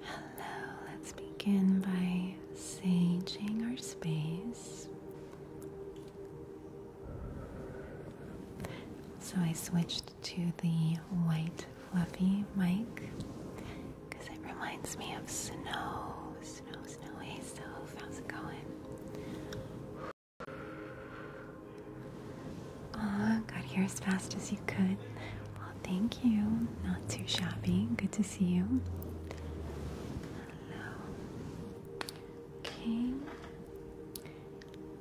Hello, let's begin by saging our space. So I switched to the white fluffy mic because it reminds me of snow. Snow, snow, hey how's it going? Aw, got here as fast as you could thank you. Not too shabby. Good to see you. Hello. Okay.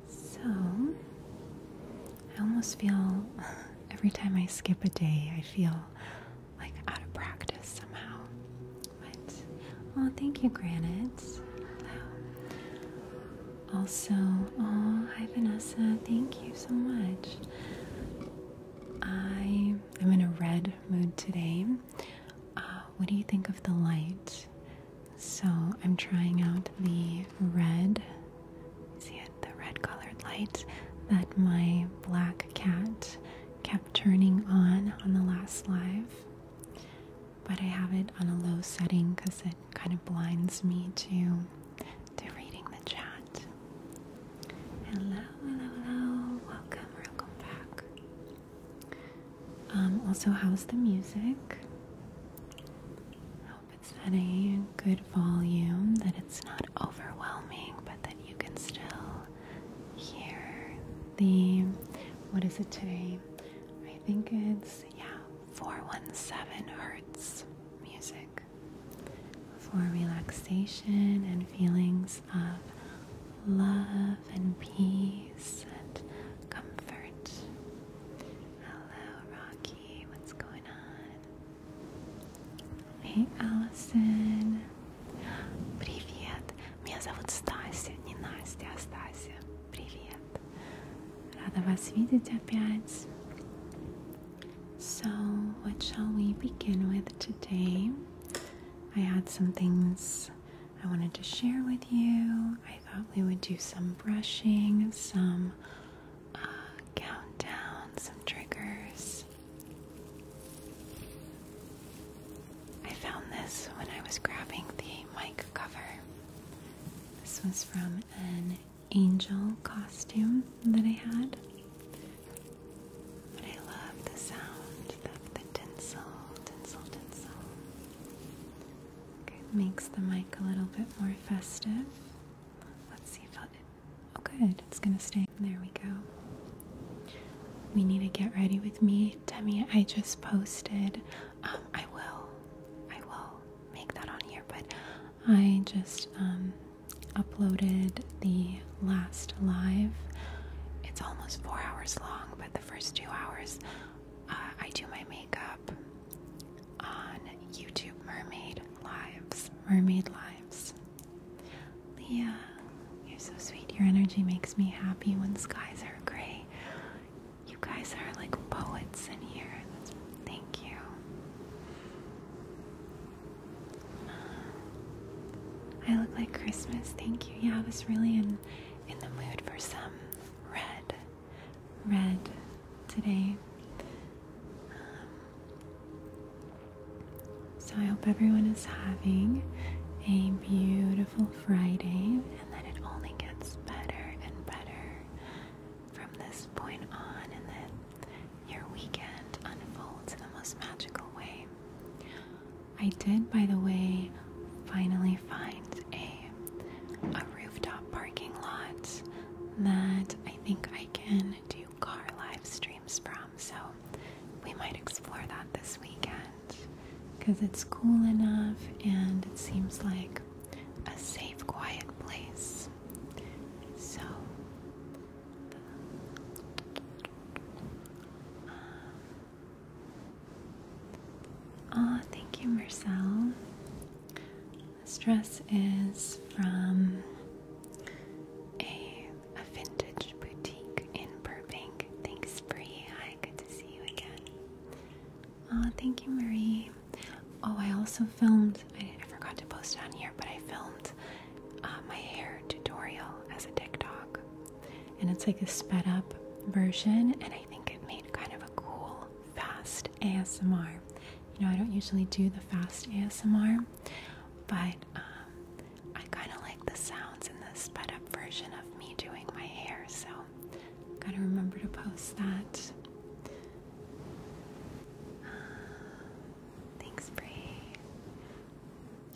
So, I almost feel every time I skip a day, I feel like out of practice somehow. But, oh, thank you, Granite. Hello. Also, oh, hi, Vanessa. Thank you so much. I am in a red mood today. Uh, what do you think of the light? So I'm trying out the red. See it, the red colored light that my black cat kept turning on on the last live. But I have it on a low setting because it kind of blinds me too to reading the chat. Hello, hello, hello. Welcome, welcome back. Um, also, how's the music? hope it's at a good volume, that it's not overwhelming, but that you can still hear the. What is it today? I think it's, yeah, 417 hertz music for relaxation and feelings of love and peace and comfort. Hello, Rocky. What's going on? Hey, Allison. Привет. Меня зовут Стася, не Настя, а Стася. Привет. Рада вас видеть опять. So, what shall we begin with today? I had some things I wanted to share with you. I thought we would do some brushing, some uh, countdown, some triggers. I found this when I was grabbing the mic cover. This was from an angel costume that I had. But I love the sound of the tinsel, tinsel, tinsel. makes the mic a little bit more festive. Let's see if I'll. Oh, good, it's gonna stay. There we go. We need to get ready with me, Demi. I just posted. Um, I will, I will make that on here, but I just um, uploaded the last live. It's almost four hours long, but the first two hours uh, I do my makeup on YouTube Mermaid Lives. Mermaid Lives. Leah, you're so sweet. Your energy makes me happy when skies are gray. You guys are like poets in here. thank you. I look like Christmas. Thank you. Yeah, I was really in in the mood for some red, red today. Um, so I hope everyone is having a beautiful Friday, and that it only gets better and better from this point on, and that your weekend unfolds in the most magical way. I did, by the way, finally find a a rooftop parking lot that I think I can do car live streams from. So we might explore that this weekend because it's cool enough and it seems like a safe, quiet place. So um, oh, thank you, Marcel. This dress is from a, a vintage boutique in Burbank. Thanks, Bree. Hi, good to see you again. Oh, thank you, Marie. Oh, I also filmed, I forgot to post it on here, but I filmed uh, my hair tutorial as a TikTok. And it's like a sped up version, and I think it made kind of a cool, fast ASMR. You know, I don't usually do the fast ASMR, but um, I kind of like the sounds in the sped up version of me doing my hair, so gotta remember to post that. Uh, thanks, Bree.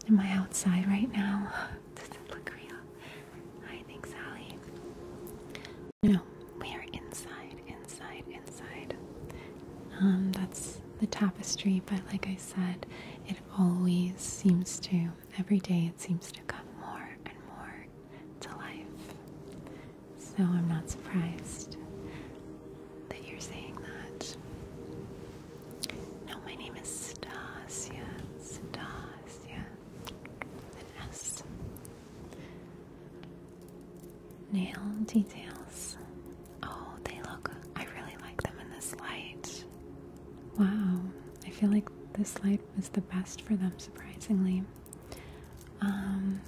Am I outside right now? Does it look real? I think Sally. No, we are inside, inside, inside. Um, that's the tapestry, but like I said, it always seems to, every day it seems to come more and more to life. So I'm not surprised that you're saying that. No, my name is Stasia. Stasia. An S. Nail details. Oh, they look. I really like them in this light. Wow. I feel like this light was the best for them, surprisingly. Um.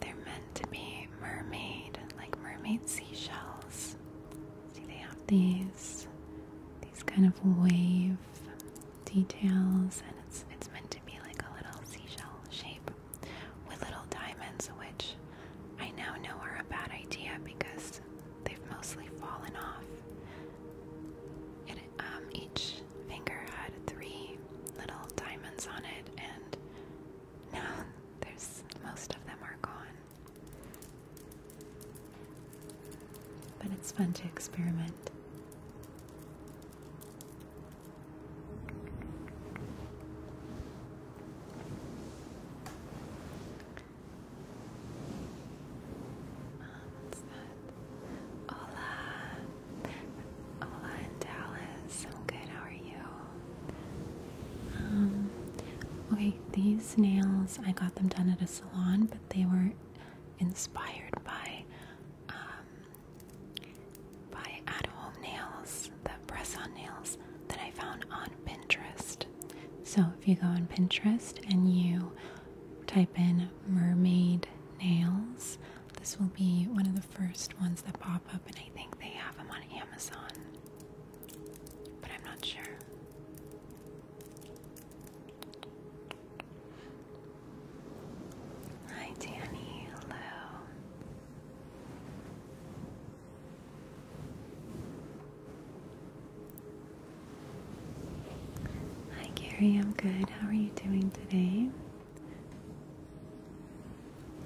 They're meant to be mermaid, like mermaid seashells. See, they have these these kind of wave details, and it's it's meant to be like a little seashell shape with little diamonds, which I now know are a bad idea because they've mostly fallen off. It, um, each finger had three little diamonds on it, and now there's most of them are gone. But it's fun to experiment. Hola. Hola uh, in Dallas. I'm good. How are you? Um, okay, these nails, I got them done at a salon, but they were inspired by um, by at-home nails, the press-on nails that I found on Pinterest. So if you go on Pinterest and you type in mermaid nails, this will be one of the first ones that pop up and I think they have them on Amazon, but I'm not sure. Hi, Danny. Hello. Hi, Gary. I'm good. How are you doing today?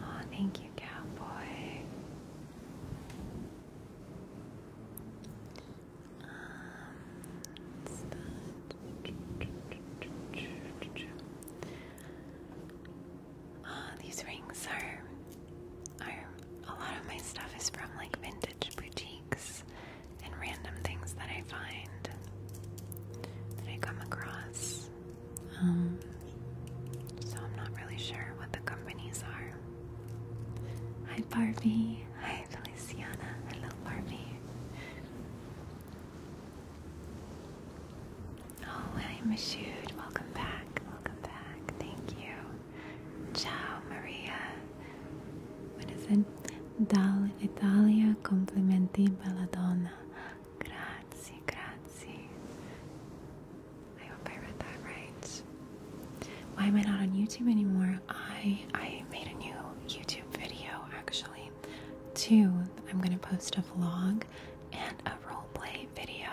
oh, thank you, cowboy. Um, what's these rings are, are a lot of my stuff is from like vintage boutiques and random things that I find that I come across. Um, so I'm not really sure what the companies are. Hi Barbie. Hi Feliciana. Hello Barbie. Oh, hi Mashood. Welcome back. Welcome back. Thank you. Ciao Maria. What is it? Dal Italia complimenti belladonna. Grazie, grazie. I hope I read that right. Why am I not on YouTube anymore? I I made a new YouTube video actually. Two, I'm gonna post a vlog and a roleplay video.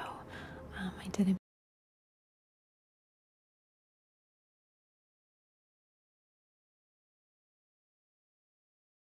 Um, I did a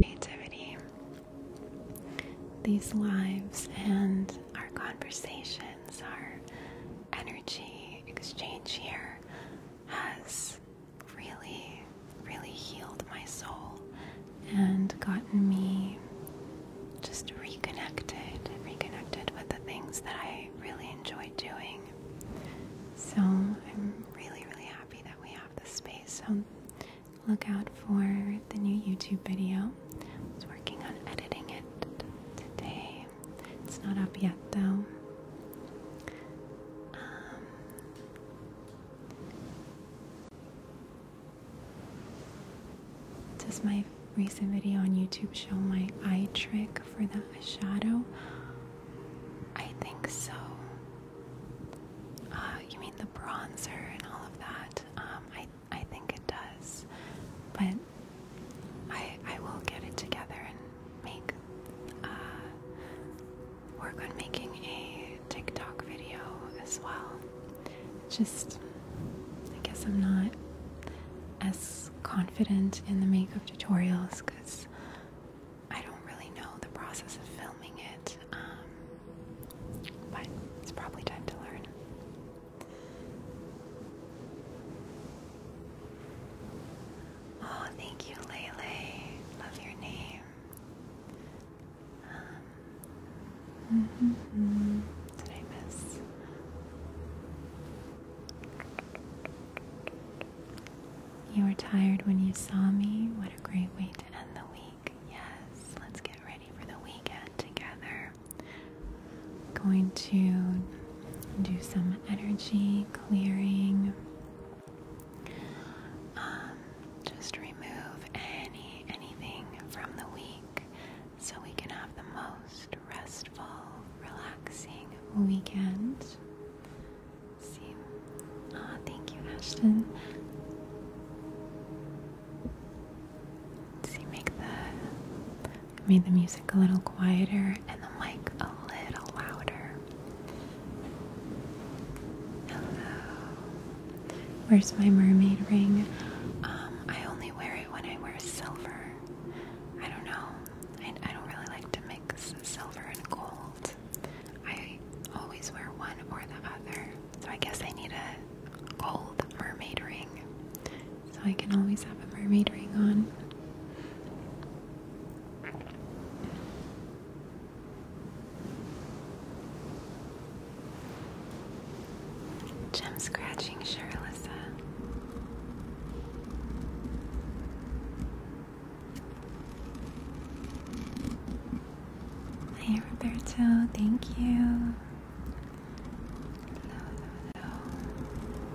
Creativity, these lives and our conversations, our energy exchange here has really, really healed my soul and gotten me just reconnected, reconnected with the things that I really enjoy doing. So I'm I'm really, really happy that we have this space. So look out for the new YouTube video. I was working on editing it today. It's not up yet though. Um, does my recent video on YouTube show my eye trick for the shadow? I think so. Uh, you mean the bronzer and all of that? Um, I I think it does, but I I will get it together and make uh, work on making a TikTok video as well. Just I guess I'm not as confident in the makeup tutorials because I don't really know the process of filming it, um, but it's probably time to learn. Oh, thank you, Lele. Love your name. -hmm. Did I miss? You were tired when you saw me. What a great way to end the week. Yes, let's get ready for the weekend together. Going to do some energy clearing. Um, just remove any anything from the week so we can have the most restful, relaxing weekend. See? Ah, thank you, Ashton. See, make the made the music a little quieter and the mic a little louder. Hello. Where's my mermaid ring? Um, I only wear it when I wear silver. I don't know. I, I don't really like to mix silver and gold. I always wear one or the other. So I guess I need a gold mermaid ring. So I can always have a mermaid ring on. Gem scratching, sure, Alyssa. Hey Roberto, thank you. Hello, hello, hello.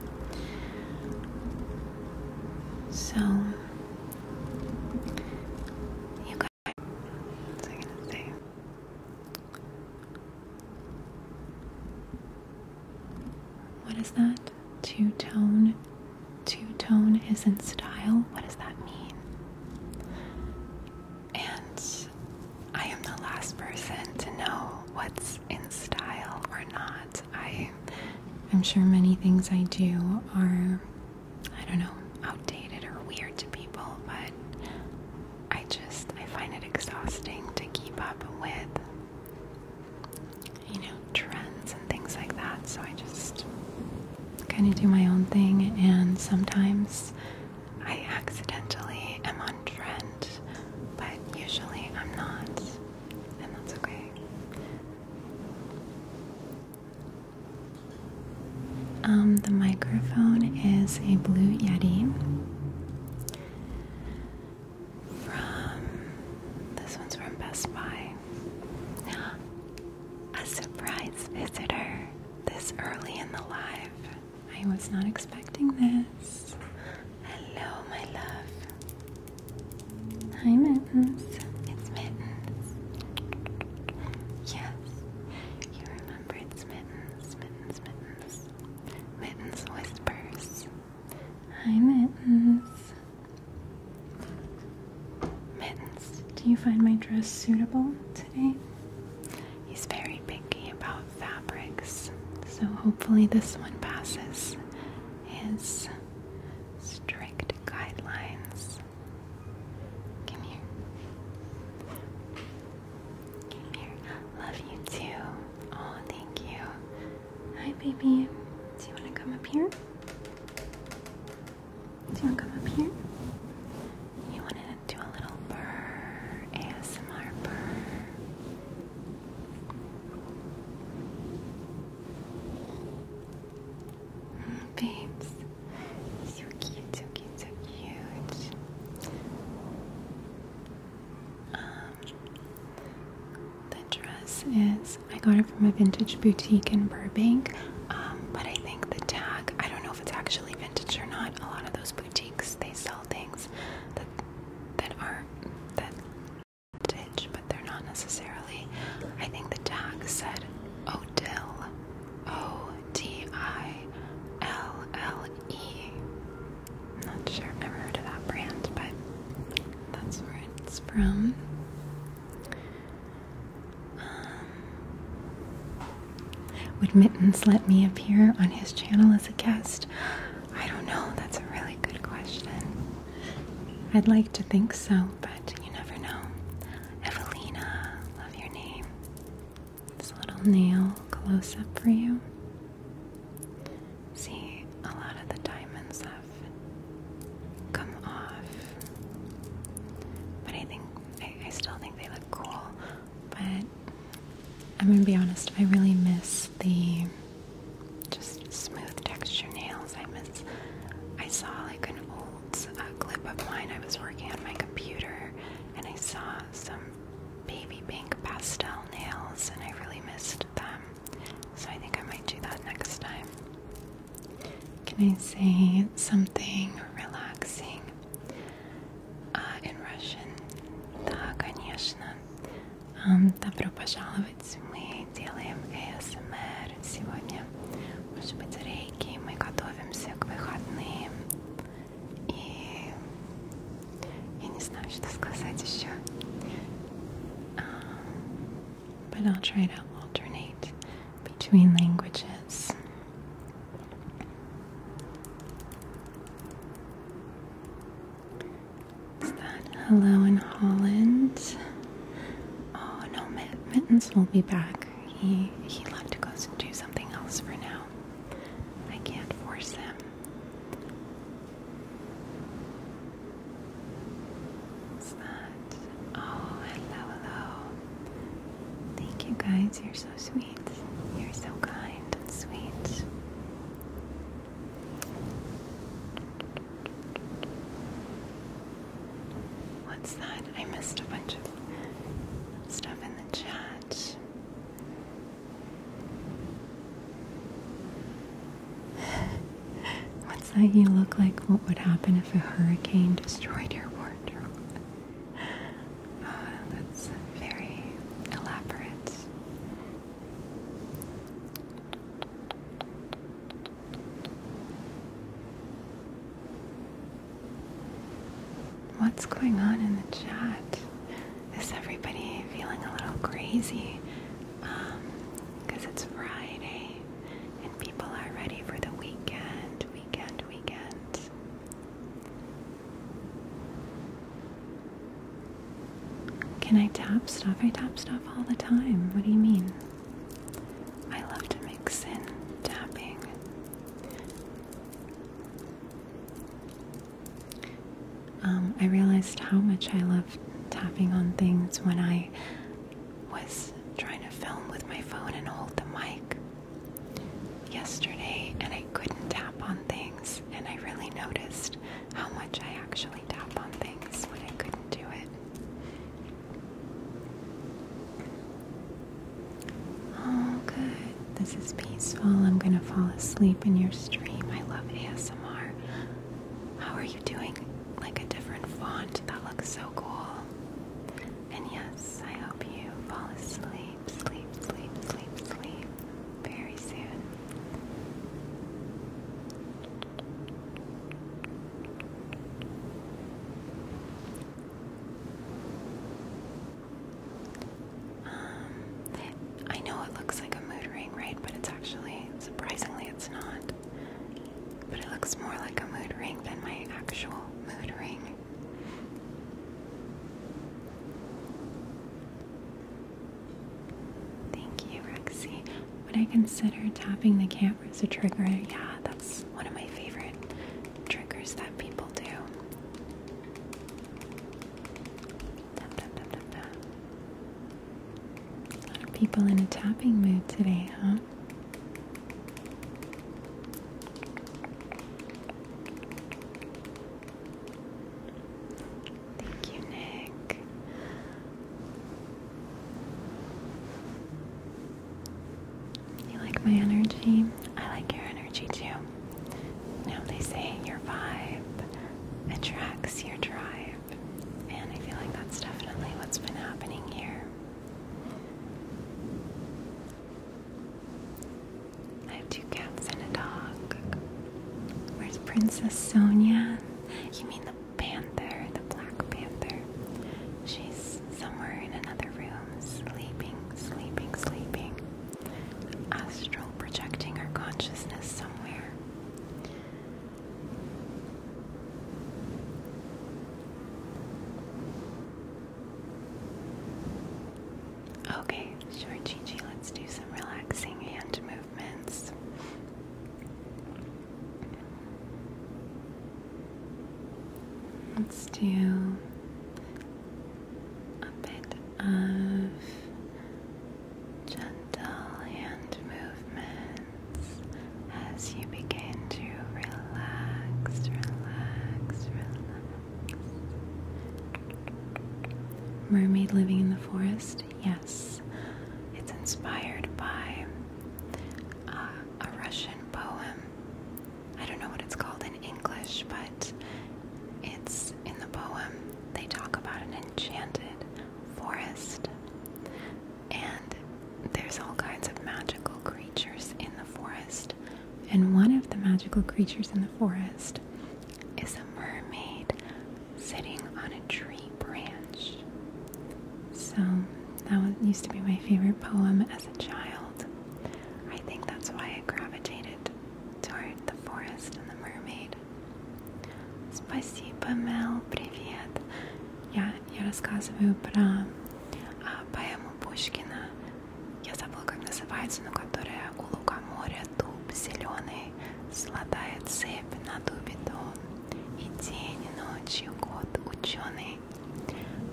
So you guys, What is that? two tone. Two tone is in style. What does that mean? And I am the last person to know what's in style or not. I I'm sure many things I do are I don't know, outdated or weird to people, but I just I find it exhausting to keep up with you know, trends and things like that. So I just kind of do my own thing, and sometimes I accidentally am on trend, but usually I'm not, and that's okay. Um, the microphone is a Blue Yeti. From this one's from Best Buy. A surprise visitor this early in the life. I was not expecting this. Hello, my love. Hi, Mittens. It's Mittens. Yes, you remember it's Mittens, Mittens, Mittens. Mittens whispers. Hi, Mittens. Mittens, do you find my dress suitable today? He's very picky about fabrics, so hopefully this one passes his strict guidelines. Come here. Come here. Love you too. Oh, thank you. Hi, baby. Do you want to come up here? Do you want to come up here? You want to do a little burr, ASMR burr. Mm, babes, so cute, so cute, so cute. Um, the dress is I got it from a vintage boutique in Burbank, um, but I think the tag I don't know if it's actually vintage or not. A lot of those boutiques they sell things that that are that vintage, but they're not necessarily. I think the tag said Odile, O D I L L E. I'm not sure. I've never heard of that brand, but that's where it's from. Um, would Mittens let me appear on his channel as a guest? I don't know. That's a really good question. I'd like to think so, but you never know. Evelina, love your name. This little nail close up for you. See a lot of the diamonds that come off. But I think I, still think they look cool. But I'm gonna be honest, I really miss the just smooth texture nails. I miss. I saw like an old uh, clip of mine. I was working on my computer, and I saw some baby pink pastel nails, and I really missed them. So I think I might do that next time. Can I say something relaxing uh, in Russian? Да, конечно. Um, добро пожаловать. Мы делаем ASMR сегодня. Может быть, рейки. Мы готовимся к выходным. И я не знаю, что сказать еще. Um, but I'll try to alternate between languages. Is that hello in Holland? Oh no, Mittens will be back. He he left to go do something else for now. I can't force him. It's not. Oh, hello, hello. Thank you guys. You're so sweet. You're so kind and sweet. What's that? I missed a bunch of stuff in the chat. What's that you look like? What would happen if a hurricane destroyed your wardrobe? Oh, that's very elaborate. What's going on in the chat? Is everybody feeling a little crazy? Because um, it's Friday people are ready for the weekend, weekend, weekend. Can I tap stuff? I tap stuff all the time. What do you mean? I love to mix in tapping. Um, I realized how much I love tapping on things when I was trying to film with my phone and hold the mic yesterday, and I couldn't tap on things, and I really noticed how much I actually tap on things when I couldn't do it. Oh, good. This is peaceful. I'm gonna fall asleep in your stream. I love ASMR. How are you doing? Like a different font. That looks so cool. And yes, I hope you fall asleep, sleep, sleep, sleep, sleep very soon. Um, I know it looks like a mood ring, right? But it's actually, surprisingly, it's not but it looks more like a mood ring than my actual mood ring. Thank you, Rexy. Would I consider tapping the camera as a trigger? Yeah, that's one of my favorite triggers that people do. A lot of people in a tapping mood today, huh? Thank you, Nick. You like my energy? I like your energy too. now they say your vibe attracts your drive, and I feel like that's definitely what's been happening here. I have two cats and a dog. Where's Princess Sonia? You mean the panther, the black panther? She's somewhere in another room, sleeping, sleeping, sleeping. Astral projecting our consciousness somewhere. Okay, sure, let's do some relaxing hand movements. Let's do a bit of gentle hand movement as you begin to relax, relax, relax. Mermaid living in the forest? Yes. It's inspired by uh, a Russian poem. I don't know what it's called in English, but it's in the poem. They talk about an enchanted forest and there's all kinds of magical creatures in the forest. And one of the magical creatures in the forest is a mermaid sitting on a tree branch. So that used to be my favorite poem as a child. I think that's why I gravitated toward the forest and the mermaid. Спасибо, Mel. Привет. Я я рассказываю про а, поэму Пушкина. Я забыла, как называется, но которая у лука моря дуб зеленый, сладая цепь на дубе дом, и день, и ночь, и год ученый.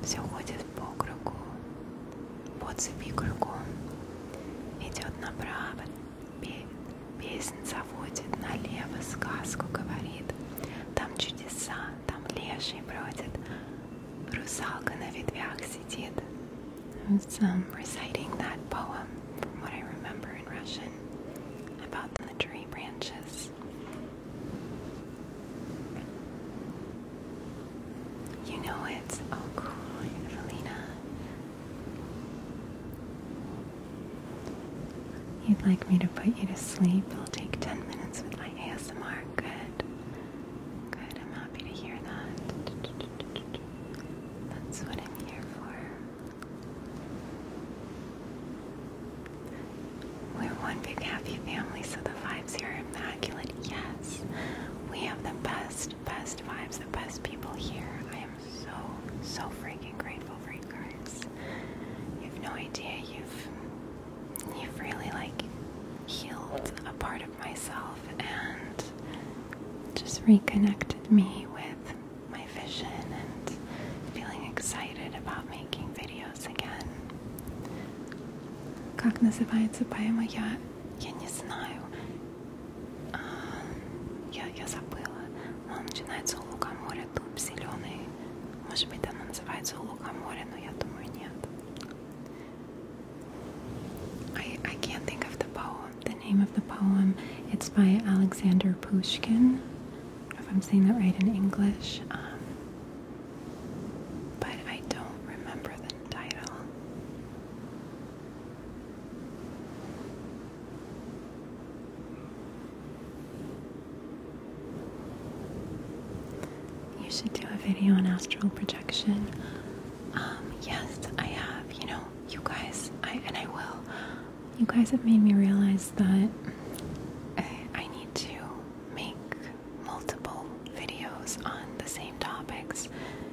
Все ходит по кругу, по цепи кругом, идет направо, песнь заводит, налево сказку говорит, там чудеса, там леший I was reciting that poem from what I remember in Russian about the tree branches. You know it. Oh, cool, Evelina. You'd like me to put you to sleep? It'll take 10 minutes with my ASMR. Good. Good. I'm happy to hear that. That's what I'm here for. We're one big happy family, so the vibes here are immaculate. Yes. We have the best, best vibes, the best people here. I am so, so freaking grateful for you guys. You have no idea. You've you've really like healed a part of myself and just reconnected me with my vision and feeling excited about making videos again. Как называется поэма? Я, я не знаю. Я, я забыла. Она начинается у лука моря, дуб зеленый. Может быть, она I, can't think of the poem, the name of the poem. It's by Alexander Pushkin, if I'm saying that right in English. Um, but I don't remember the title. You should do a video on astral projection. Um, yes, I have. You know, you guys, I and I will. You guys have made me realize that I need to make multiple videos on the same topics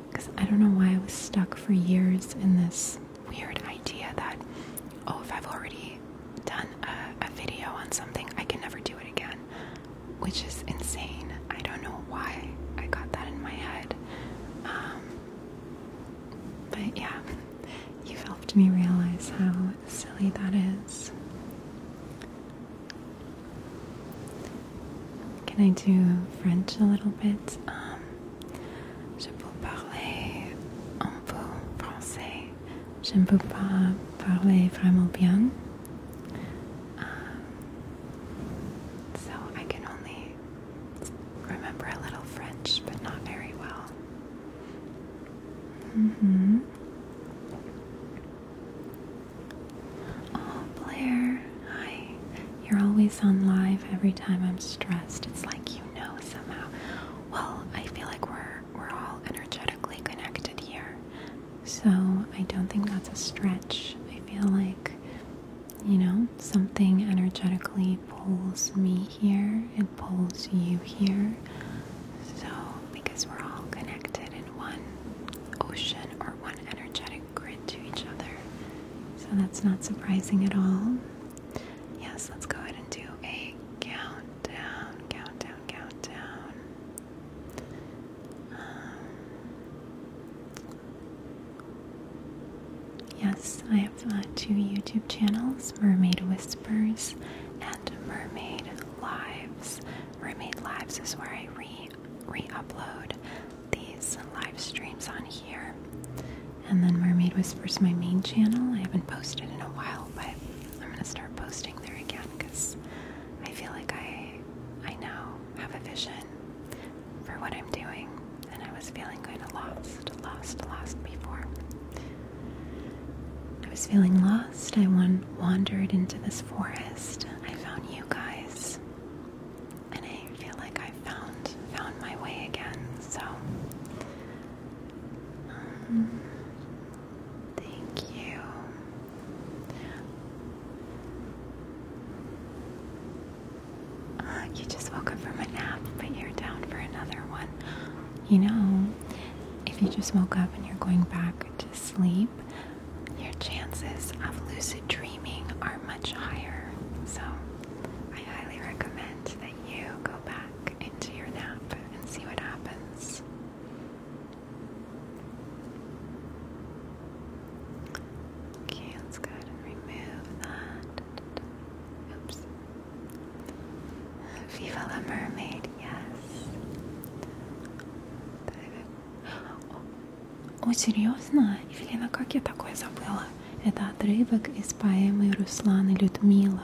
because I don't know why I was stuck for years in this weird idea that, oh, if I've already done a, video on something, I can never do it again, which is insane. I don't know why I got that in my head. Um, but yeah, you've helped me realize how silly that is. Can I do French a little bit? Um, je peux parler un peu français. Je ne peux pas parler vraiment bien. Um, so I can only remember a little French, but not very well. Mm-hmm. Oh, Blair, hi. You're always on live every time I'm stressed. It's like you know somehow. Well, I feel like we're we're all energetically connected here. So I don't think that's a stretch. I feel like you know, something energetically pulls me here, it pulls you here. So, because we're all connected in one ocean or one energetic grid to each other. So, that's not surprising at all. Yes, let's go ahead and do a count countdown, countdown, countdown. Um, yes, I have two YouTube channels Mermaid Whispers and Mermaid Lives. Mermaid Lives is where I re, re upload these live streams on here. And then Mermaid Whispers, my main channel. I haven't posted in a while, but I'm gonna start posting there again because I feel like I I now have a vision for what I'm doing and I was feeling kinda lost, lost, lost before. I was feeling lost. I wan wandered into this forest. I found you guys. And I feel like I found found my way again. So um, Thank you. Uh, you just woke up from a nap, but you're down for another one. You know, if you just woke up and you're going back to sleep, your chances of lucid dreaming are much higher. So, I highly recommend that you go back into your nap and see what happens. Okay, let's go ahead and remove that. Oops. Viva la mermaid, yes. О, о, серьезно? Евелина, как я такое забыла? Это отрывок из поэмы Руслана Людмила.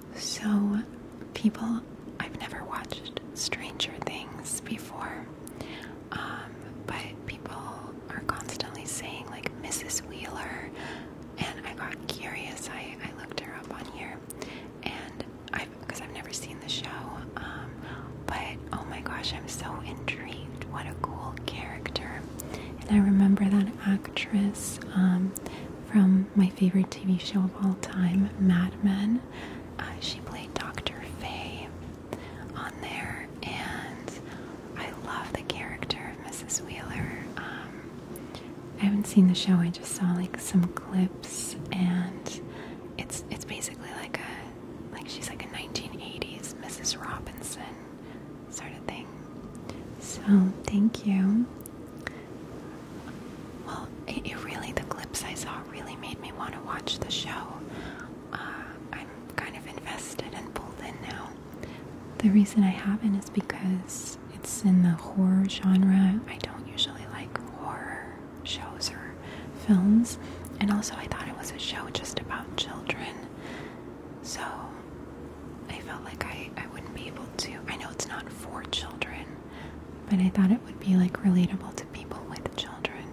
So, people, I've never watched Stranger Things before, um, but people are constantly saying, like, Mrs. Wheeler, and I got curious. I, I looked her up on here, and i because I've never seen the show, um, but oh my gosh, I'm so intrigued. What a cool character! And I remember that actress. Um, from my favorite TV show of all time, Mad Men. Uh, she played Dr. Faye on there, and I love the character of Mrs. Wheeler. Um, I haven't seen the show; I just saw like some clips, and it's it's basically like a like she's like a 1980s Mrs. Robinson sort of thing. So thank you. Well, it, really, the clips I saw really made me want to watch the show. Uh, I'm kind of invested and pulled in now. The reason I haven't is because it's in the horror genre. I don't usually like horror shows or films. And also, I thought it was a show just about children. So I felt like I, I wouldn't be able to. I know it's not for children, but I thought it would be like relatable to people with children.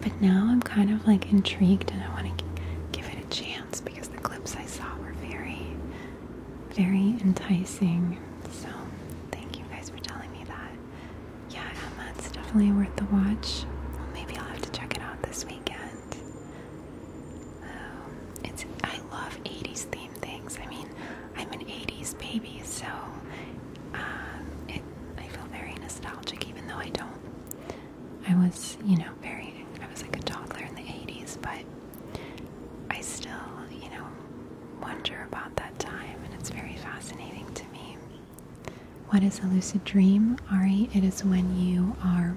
But now I'm kind of like intrigued and I want to give it a chance because the clips I saw were very, very enticing. So thank you guys for telling me that. Yeah, Emma, it's definitely worth the watch. Well, maybe I'll have to check it out this weekend. Um, it's I love 80s themes things. I mean, I'm an 80s baby, so um, I feel very nostalgic, even though I don't. I was, you know, very, I was like a toddler in the 80s, but I still, you know, wonder about that time, and it's very fascinating to me. What is a lucid dream? Ari, it is when you are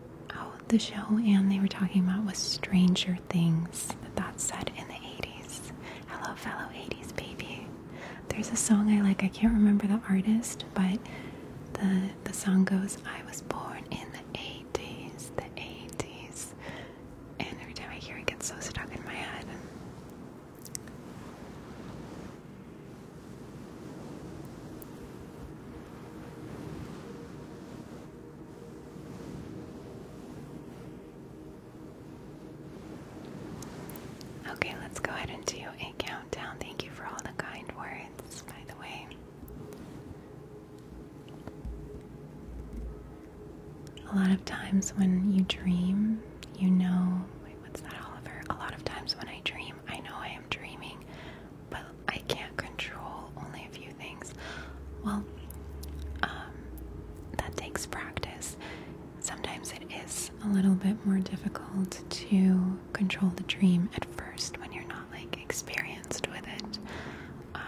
oh, the show and they were talking about was Stranger Things that that said in the 80s. Hello, fellow 80s baby. There's a song I like. I can't remember the artist, but the the song goes, "I was born in the 80s, the 80s." And every time I hear it gets so stuck in my head. Okay, let's go ahead and do a countdown. Thank you for all the kind words, by the way. A lot of times when you dream, you know. Wait, what's that, Oliver? A lot of times when I dream, I know I am dreaming but I can't control only a few things. Well, um, that takes practice. Sometimes it is a little bit more difficult to control the dream at first when you're not like experienced with it. Um,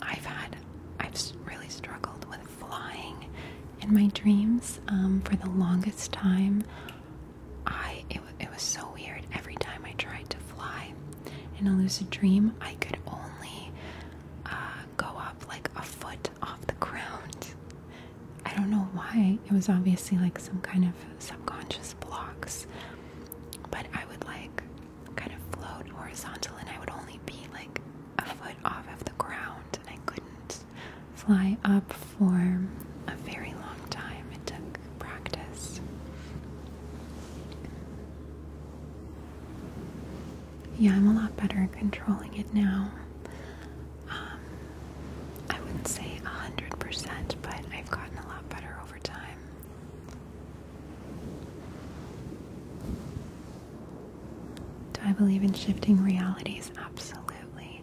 I've had, I've really struggled with flying in my dreams um, for the longest time. I it, it was so weird every time I tried to fly in a lucid dream, I could only uh, go up like a foot off the ground. I don't know why. It was obviously like some kind of subconscious blocks. But I would like kind of float horizontal and I would only be like a foot off of the ground and I couldn't fly up for a very long time. It took practice. Yeah, I'm a lot better at controlling it now. Um, I wouldn't say 100%, but I've gotten a lot better over time. Do I believe in shifting realities? Absolutely.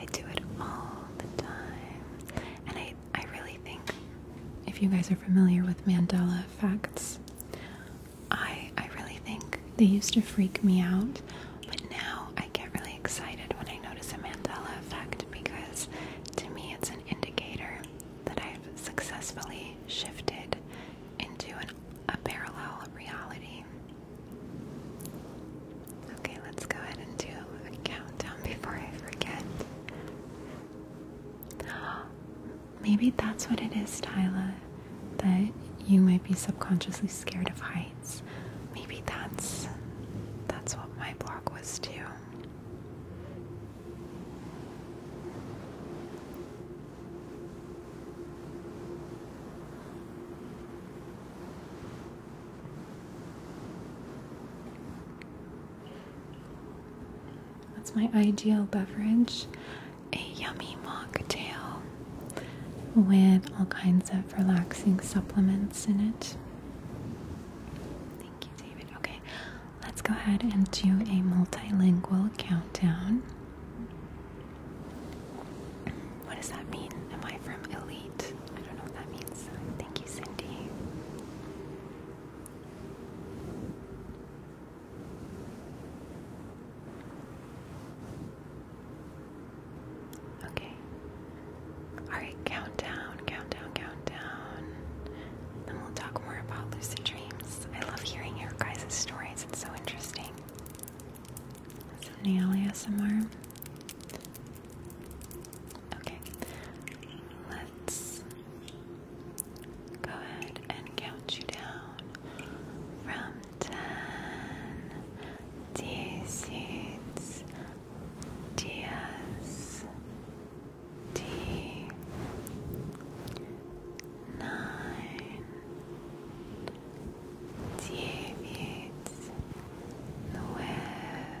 I do it all the time. And I I really think, if you guys are familiar with Mandela effects, I I really think they used to freak me out, but now I get really excited when I notice a Mandela effect because to me it's an indicator that I've successfully shifted into an, a parallel reality. Okay, let's go ahead and do a countdown before I forget. Maybe that's what it is, Tyla, that you might be subconsciously scared of heights. Maybe that's that's what my blog was too. That's my ideal beverage a yummy mocktail with all kinds of relaxing supplements in it. Thank you, David. Okay, let's go ahead and do a multilingual countdown. What does that mean? Am I from Elite? I don't know what that means. Thank you, Cindy. Okay. Alright, countdown, countdown, countdown. Then we'll talk more about lucid dreams. I love hearing your guys' stories, it's so interesting. Some nail Okay, let's go ahead and count you down from 10. Dieciséis, diez, diez, nine, diez, nueve.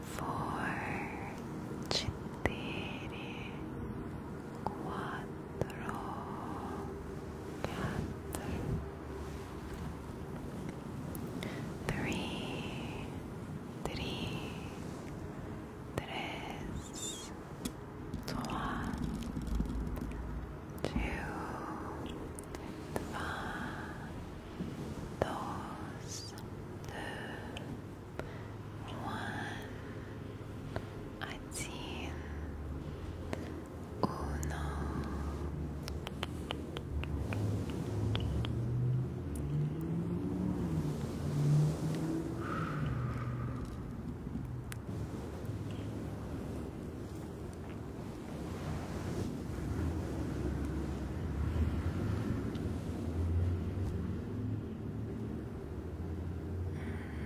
four, cintere, quattro, quattro, three, three, trois, two, dos, deux, one, один, uno. Good.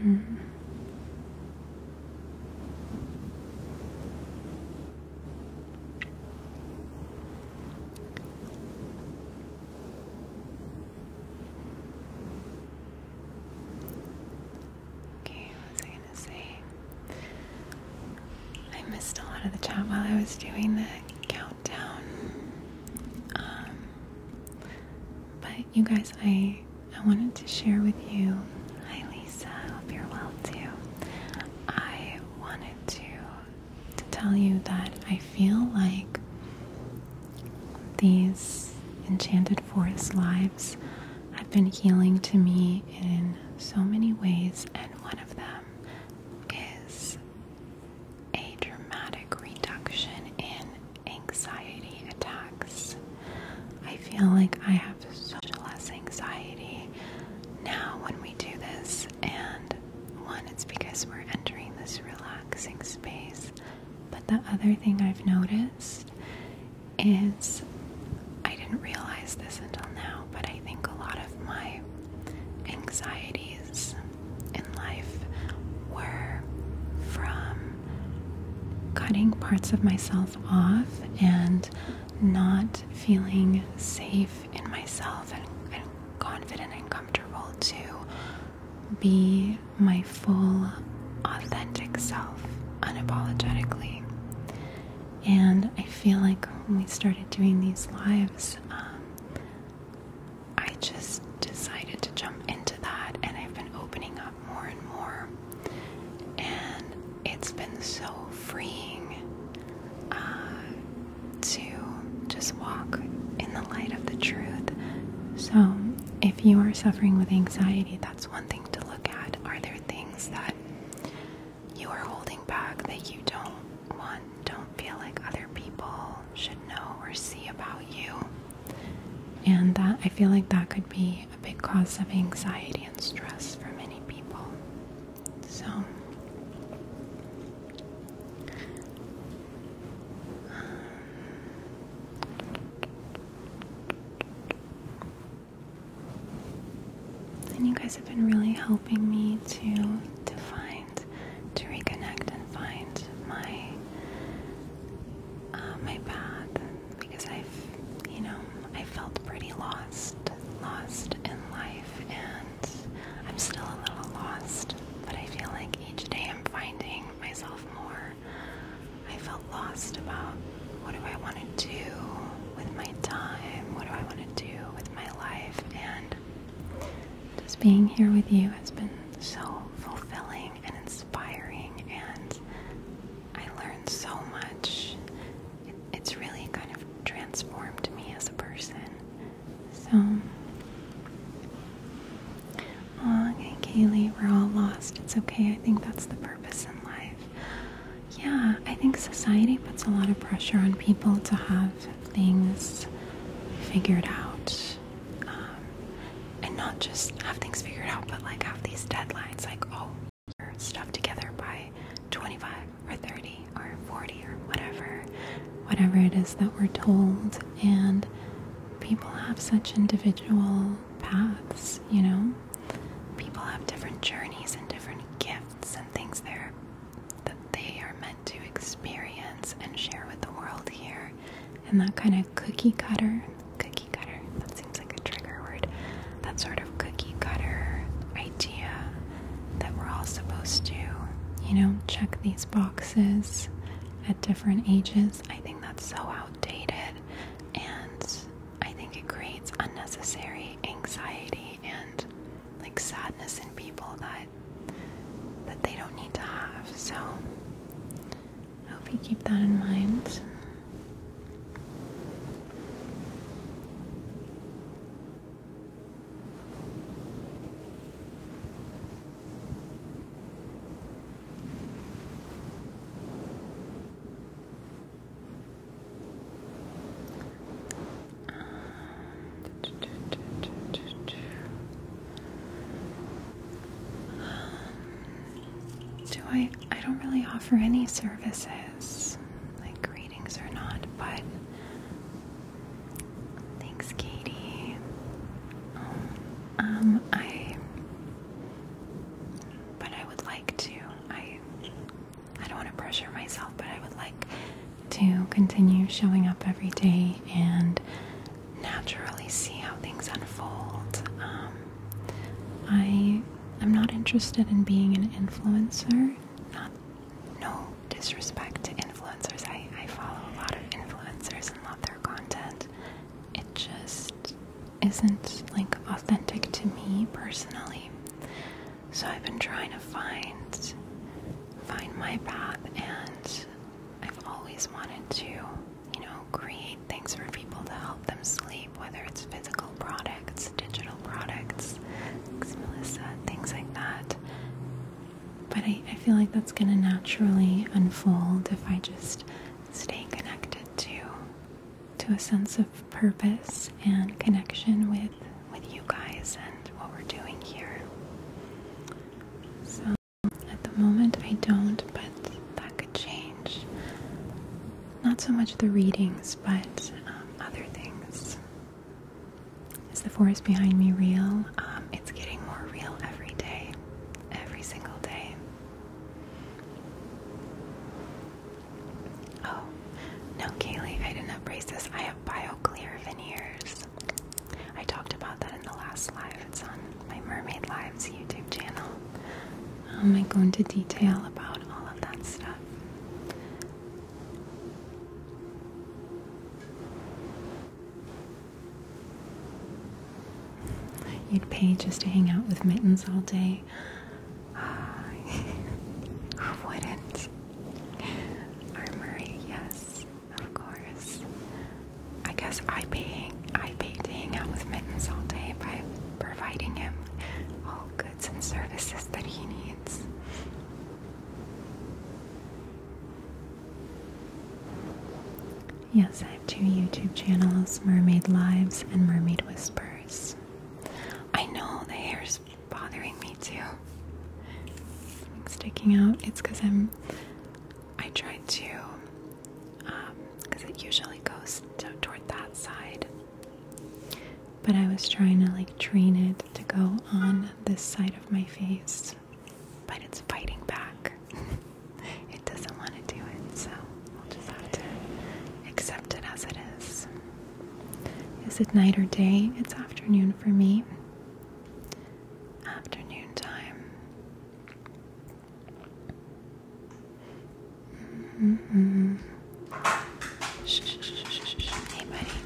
Mm. Okay, what was I gonna say? I missed a lot of the chat while I was doing this countdown. Um, but you guys, I I wanted to share with you. Hi, Lisa. I hope you're well too. I wanted to to tell you that I feel like these enchanted forest lives have been healing to me in so many ways, and one of them is a dramatic reduction in anxiety attacks. I feel like I have such less anxiety now when we do this, and one, it's because we're entering this relaxing space, but the other thing I've noticed is I didn't realize this until now, but I I think a lot of my anxieties in life were from cutting parts of myself off and not feeling safe in myself and, confident and comfortable to be my full authentic self unapologetically. And I feel like when we started doing these lives, um, I just decided to jump into that, and I've been opening up more and more. And it's been so freeing uh, to just walk in the light of the truth. So, if you are suffering with anxiety, that's one thing to look at. Are there things that you are holding back that you don't want don't feel like other people should know or see about you. And that I feel like that could be a big cause of anxiety and stress for many people. So and you guys have been really helping me to to to reconnect and find my uh, my path because I've you know I felt pretty lost lost in life and I'm still a little lost but I feel like each day I'm finding myself more I felt lost about what do I want to do with my time what do I want to do with my life and just being here with you has been so fulfilling and inspiring, and I learned so much. it's really kind of transformed me as a person. So, oh, okay, Kaylee, we're all lost. It's okay. I think that's the purpose in life. Yeah, I think society puts a lot of pressure on people to have things figured out. Um, and not just have things figured out, but like have these deadlines like, oh, your stuff together by 25 or 30 or 40 or whatever, whatever it is that we're told. And people have such individual paths, you know? People have different journeys and different gifts and things there that they are meant to experience and share with the world here. And that kind of cookie cutter, cookie cutter, that seems like a trigger word, that sort of cookie cutter idea that we're all supposed to, you know, check these boxes at different ages. I think that's so outdated and I think it creates unnecessary anxiety and like sadness in people that that they don't need to have. So I hope you keep that in mind. Um, do I? I don't really offer any services, like readings or not, but thanks, Katie. Um, I, but I would like to. I, I don't want to pressure myself, but I would like to continue showing up every day and naturally see how things unfold. Um, I am not interested in being an influencer. Not, no disrespect to influencers. I, I follow a lot of influencers and love their content. It just isn't like authentic to me personally. So I've been trying to find find my path and I've always wanted to, you know, create things for people to help them sleep, whether it's physical products, digital products, Melissa, things like that. But I, I feel like that's going to naturally unfold if I just stay connected to to a sense of purpose and connection with with you guys and what we're doing here. So at the moment I don't, but that could change. Not so much the readings, but um, other things. Is the forest behind me real? Um, it's getting more real every day, every single day. Oh, no, Kaylee, I didn't have braces. I have BioClear veneers. I talked about that in the last live. It's on my Mermaid Lives YouTube channel. Am I going to detail about all of that stuff. You'd pay just to hang out with mittens all day. Who wouldn't? Armory, yes. Of course. I guess I pay I paid to hang out with Mittens all day by providing him all goods and services that he needs. Yes, I have two YouTube channels, Mermaid Lives and Mermaid Whispers. I know the hair's bothering me too. Sticking out. It's because I'm I tried to, because um, it usually goes toward that side, but I was trying to like train it to go on this side of my face, but it's fighting back. it doesn't want to do it, so we'll just have to accept it as it is. Is it night or day? It's afternoon for me afternoon time. -hmm. Hey, buddy.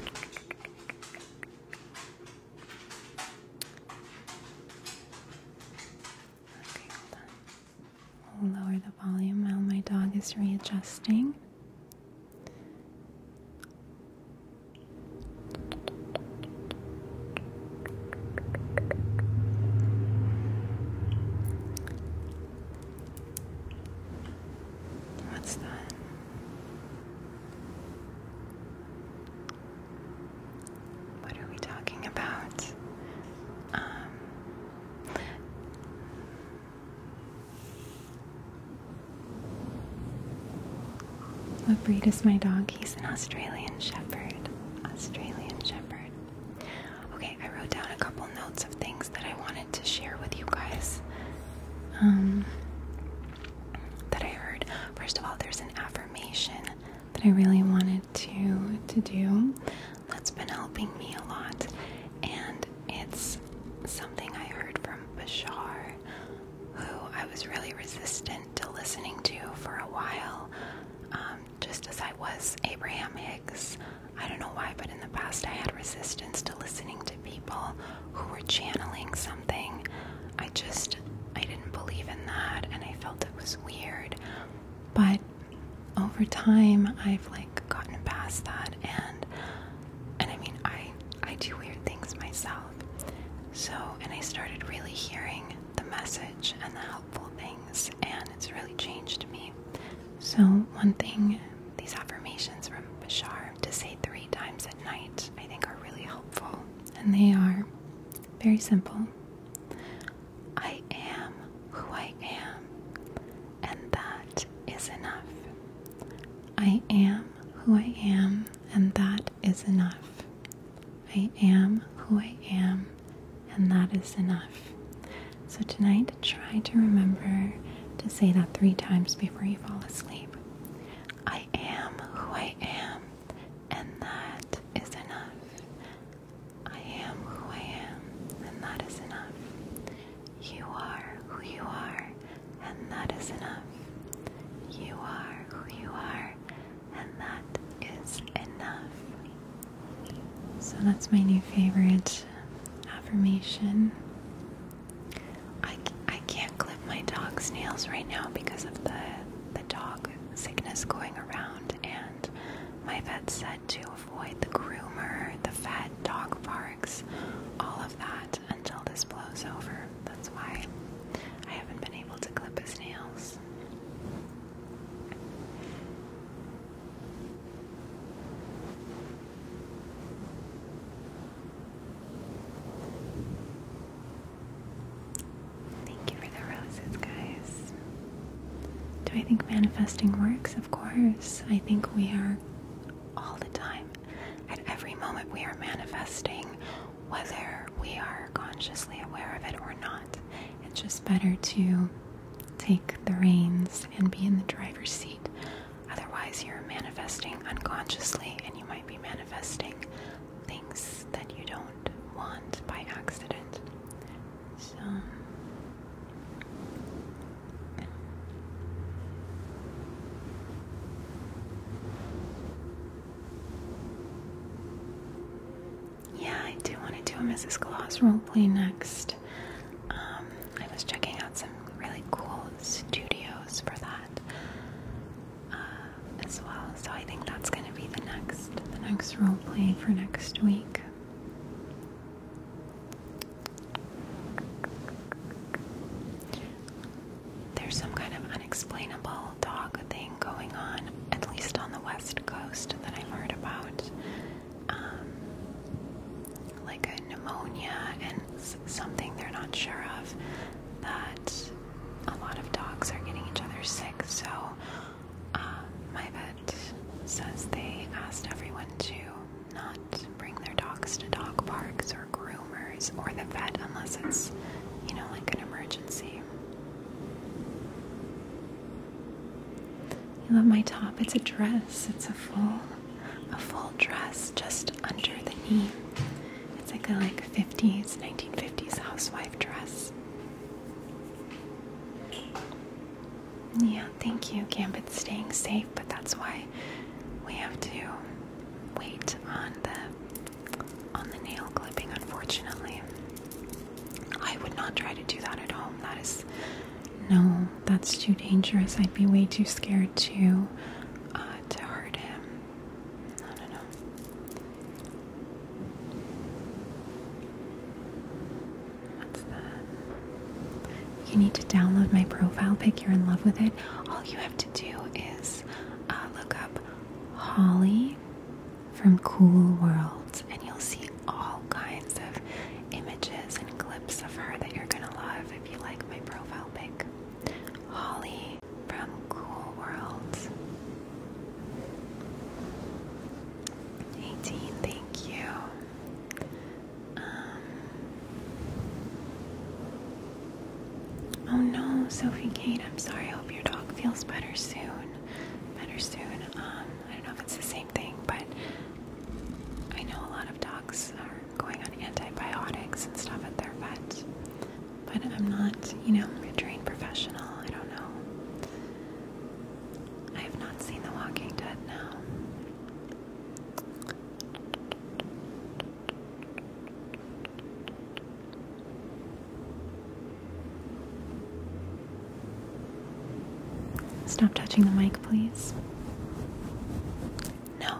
Okay, hold on. I'll lower the volume while my dog is readjusting. What's that? What are we talking about? Um, what breed is my dog? He's an Australian Shepherd. Australian Shepherd. Okay, I wrote down a couple notes of things that I wanted to share with you guys. Um, that I heard. First of all, there's an affirmation that I really wanted to to do. That's been helping me a lot, and it's something I heard from Bashar who I was really resistant to listening to for a while, um, just as I was Abraham Hicks. I don't know why, but in the past I had resistance to listening to people who were channeling something. I just, I didn't believe in that and I felt it was weird. But over time, I've like gotten past that and and I mean, I I do weird things myself. So, and I started really hearing the message and the helpful things, and it's really changed me. So, one thing these affirmations from Bashar to say three times at night, I think, are really helpful. And they are very simple I am who I am, and that is enough. I am who I am, and that is enough. I am who I am, and that is enough. So, tonight, try to remember to say that three times before you fall asleep. I am who I am, and that is enough. I am who I am, and that is enough. You are who you are, and that is enough. You are who you are, and that is enough. So that's my new favorite affirmation. I, I can't clip my dog's nails right now because of the, the dog sickness going around, and my vet said to avoid the groomer, the vet, dog parks, all of that until this blows over. That's why I haven't been able to clip his nails. Thank you for the roses, guys. Do I think manifesting works? Of course. I think we are all the time. At every moment, we are manifesting whether we are consciously aware of it or not. It's just better to take the reins and be in the driver's seat. Otherwise, you're manifesting unconsciously and you might be manifesting things that you don't want by accident. So. Yeah, I do want to do a Mrs. role roleplay next. Um, I was checking out some really cool studios for that uh, as well. So I think that's going to be the next, the next roleplay for next week. There's some kind of unexplainable whole dog thing going on, at least on the west coast that I've heard about. Um, like a pneumonia and something they're not sure of, that a lot of dogs are getting each other sick. So, uh, my vet says they asked everyone to not bring their dogs to dog parks or groups or the vet unless it's, you know, like an emergency. You love my top. It's a dress. It's a full, a full dress just under the knee. It's like a like 50s, 1950s housewife dress. Yeah, thank you, Gambit's staying safe, but that's why we have to wait on the on the nail clipping, unfortunately. I would not try to do that at home. That is, no, that's too dangerous. I'd be way too scared to, uh, to hurt him. I don't know. What's that? You need to download my profile pic. You're in love with it. All you have to do is uh, look up Holly from Cool Worlds, and you'll see all kinds of images and clips of her that you're gonna love if you like my profile pic. Holly from Cool Worlds. 18, thank you. Um, Oh no, Sophie Kate, I'm sorry. I hope your dog feels better soon. Better soon. Um, I don't know if it's the same thing, but I know a lot of dogs are going on antibiotics and stuff at their vet. But I'm not, you know, a trained professional. I don't know. I have not seen The Walking Dead now. Stop touching the mic, please. No.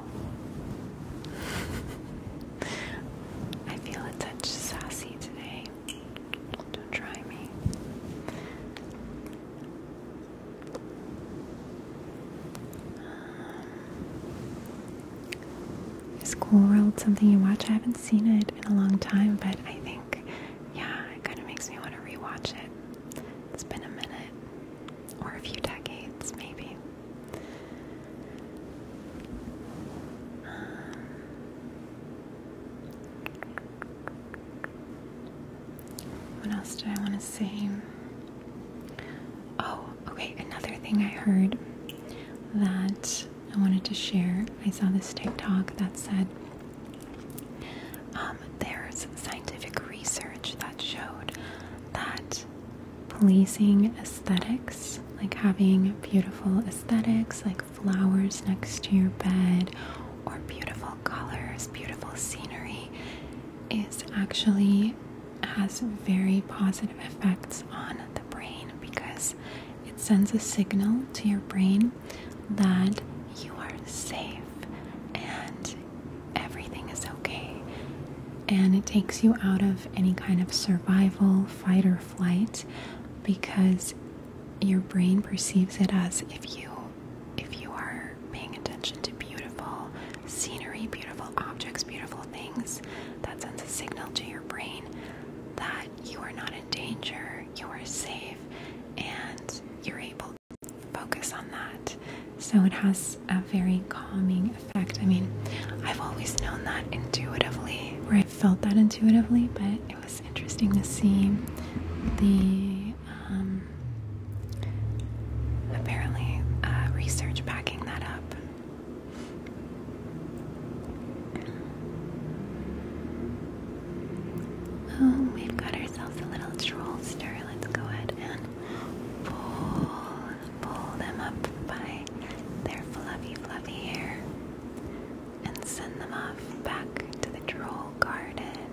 I feel a touch sassy today. Don't try me. School World something you watch? I haven't seen it in a long time, but I think, yeah, it kind of makes me want to rewatch it. It's been a minute, or a few decades, maybe. Um, what else did I want to say? Oh, okay, another thing I heard that I wanted to share. I saw this TikTok that said um, there's scientific research that showed that pleasing aesthetics, like having beautiful aesthetics, like flowers next to your bed, or beautiful colors, beautiful scenery, is actually has very positive effects on brain because it sends a signal to your brain that you are safe and everything is okay. And it takes you out of any kind of survival, fight, or flight because your brain perceives it as if you if you are paying attention to beautiful scenery, beautiful objects, beautiful things, that sends a signal to your brain that you are not in danger, you are safe, and you're able to focus on that. So it has a very calming effect. I mean, I've always known that intuitively, where I felt that intuitively, but it was interesting to see the um, apparently uh, research backing that up. Oh, we've got ourselves a little trollster. Let's go ahead and pull, pull them up by their fluffy, fluffy hair and send them off back to the troll garden.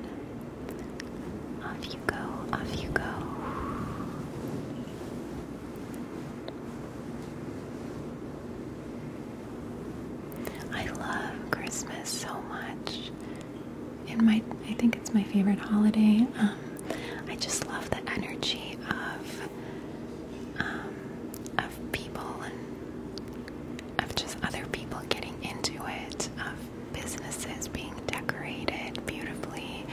Off you go, off you go. I love Christmas so much. In my, I think it's my favorite holiday. Um, I just love the energy of um, of people and of just other people getting into it, of businesses being decorated beautifully,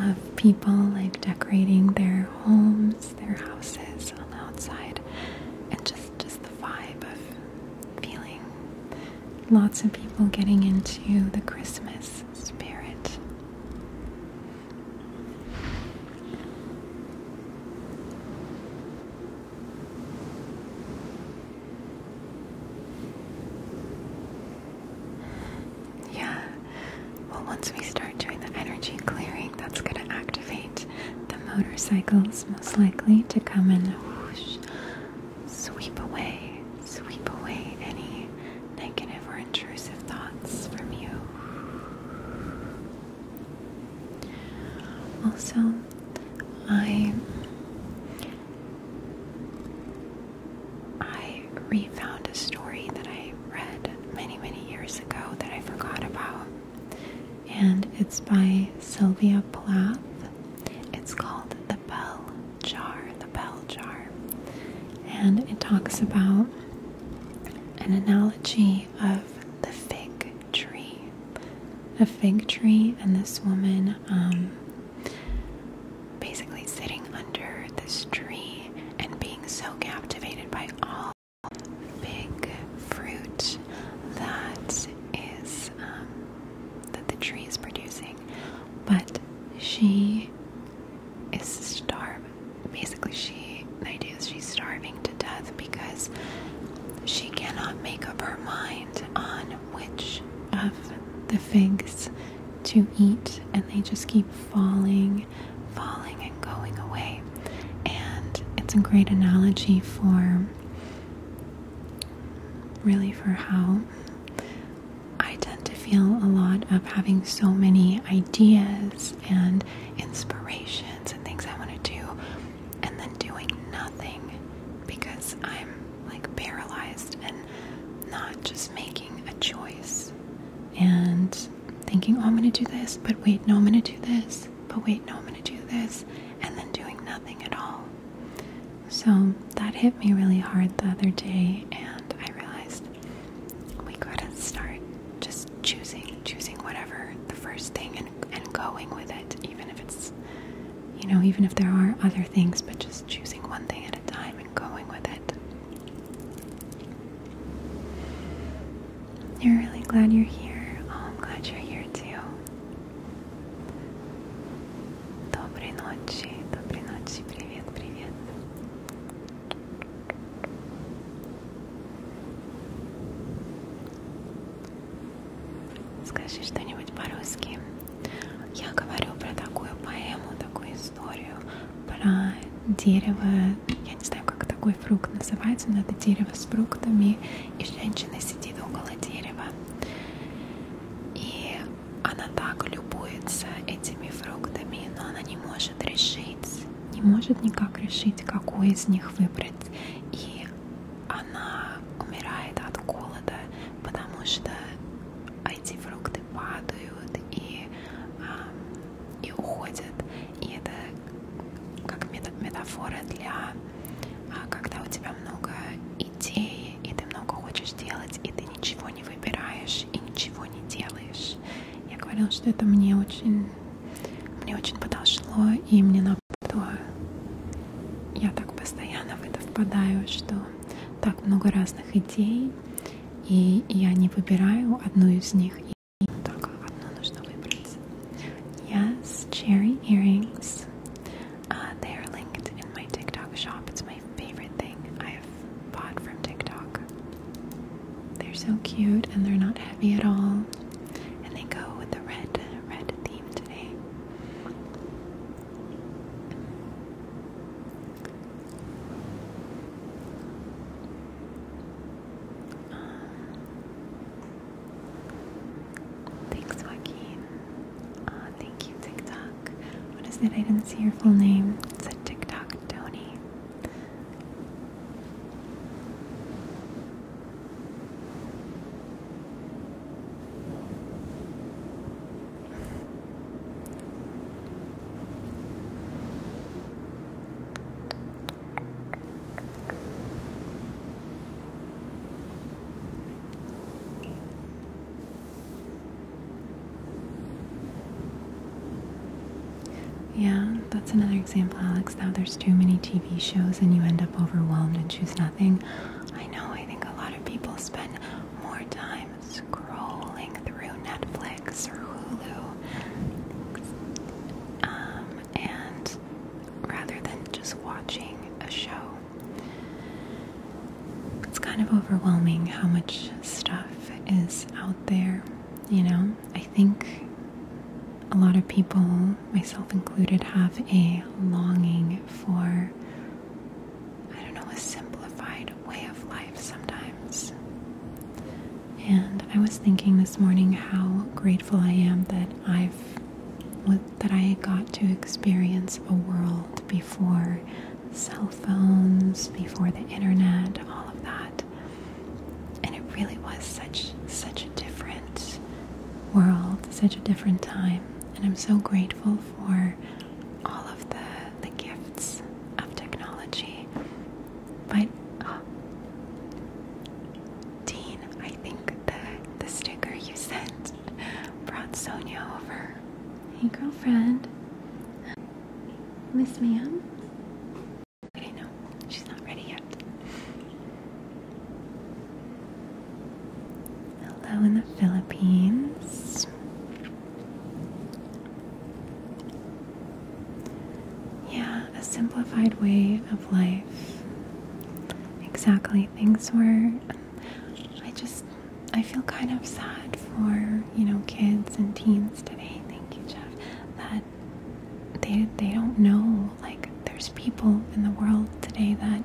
of people like decorating their homes their houses on the outside, and just just the vibe of feeling lots of people getting into the Christmas spirit. Yeah, well, once we start doing the energy clearing, that's going to activate the motorcycles, most likely, to come and whoosh, sweep away, sweep away any negative or intrusive thoughts from you. Also, I I refound a story that I read many, many years ago that I forgot about. And it's by Sylvia Plath. It's called The Bell Jar. The Bell Jar. And it talks about an analogy of the fig tree. A fig tree, and this woman um, basically sitting under this tree and being so captivated by all big fruit that is um, that the tree is producing, but she is starving. Basically, she the idea is she's starving to death because she cannot make up her mind on which of the figs to eat, and they just keep falling falling and going away. And it's a great analogy for really for how I tend to feel a lot of having so many ideas and inspirations and things I want to do, and then doing nothing because I'm like paralyzed and not just making a choice and thinking, oh, I'm going to do this, but wait, no, I'm going to do this, but wait, no, I'm going to do this, and then doing nothing at all. So that hit me really hard the other day, and I realized we gotta start just choosing, choosing whatever the first thing and going with it, even if it's, you know, even if there are other things, but just choosing one thing at a time and going with it. You're really glad you're here. Oh, I'm glad you're here too. Доброй ночи, доброй ночи, привет, привет. Скажи что-нибудь по-русски. Я говорю про такую поэму, такую историю, про дерево, я не знаю, как такой фрукт называется, но это дерево с фруктами, и женщина сидит около дерева. И она так любуется этими фруктами, но она не может решить, не может никак решить, какой из них выбрать. И она умирает от голода, потому что эти фрукты падают, и и уходят. И это как метафора для, а, когда у тебя много идей, и ты много хочешь делать, и ты ничего не выбираешь, и ничего не делаешь. Я говорила, что это мне очень, мне очень подошло, и мне на я так постоянно в это впадаю, что так много разных идей, и я не выбираю одну из них, и Yes, cherry earrings. Uh, they are linked in my TikTok shop. It's my favorite thing I have bought from TikTok. They're so cute and they're not heavy at all. And they go with the red, red theme today. Uh, thanks, Joaquin. Uh, thank you, TikTok. What is it? I didn't see your full name. It said TikTok Tony. Yeah, that's another example, Alex. Now there's too many TV shows and you end up overwhelmed and choose nothing. I know, I think a lot of people spend more time scrolling through Netflix or Hulu um, and rather than just watching a show. It's kind of overwhelming how much stuff is out there, you know? I think a lot of people, myself included, have a longing for, I don't know, a simplified way of life sometimes. And I was thinking this morning how grateful I am that I've that I got to experience a world before cell phones, before the internet, all of that. And it really was such such a different world, such a different time. And I'm so grateful for all of the the gifts of technology but oh. Dean, I think the the sticker you sent brought Sonia over. Hey, girlfriend. Miss Ma'am. I didn't know. She's not ready yet. Hello in the Philippines. Yeah, a simplified way of life. Exactly. Things were. I just. I feel kind of sad for, you know, kids and teens today. Thank you, Jeff. That they, they don't know. Like, there's people in the world today that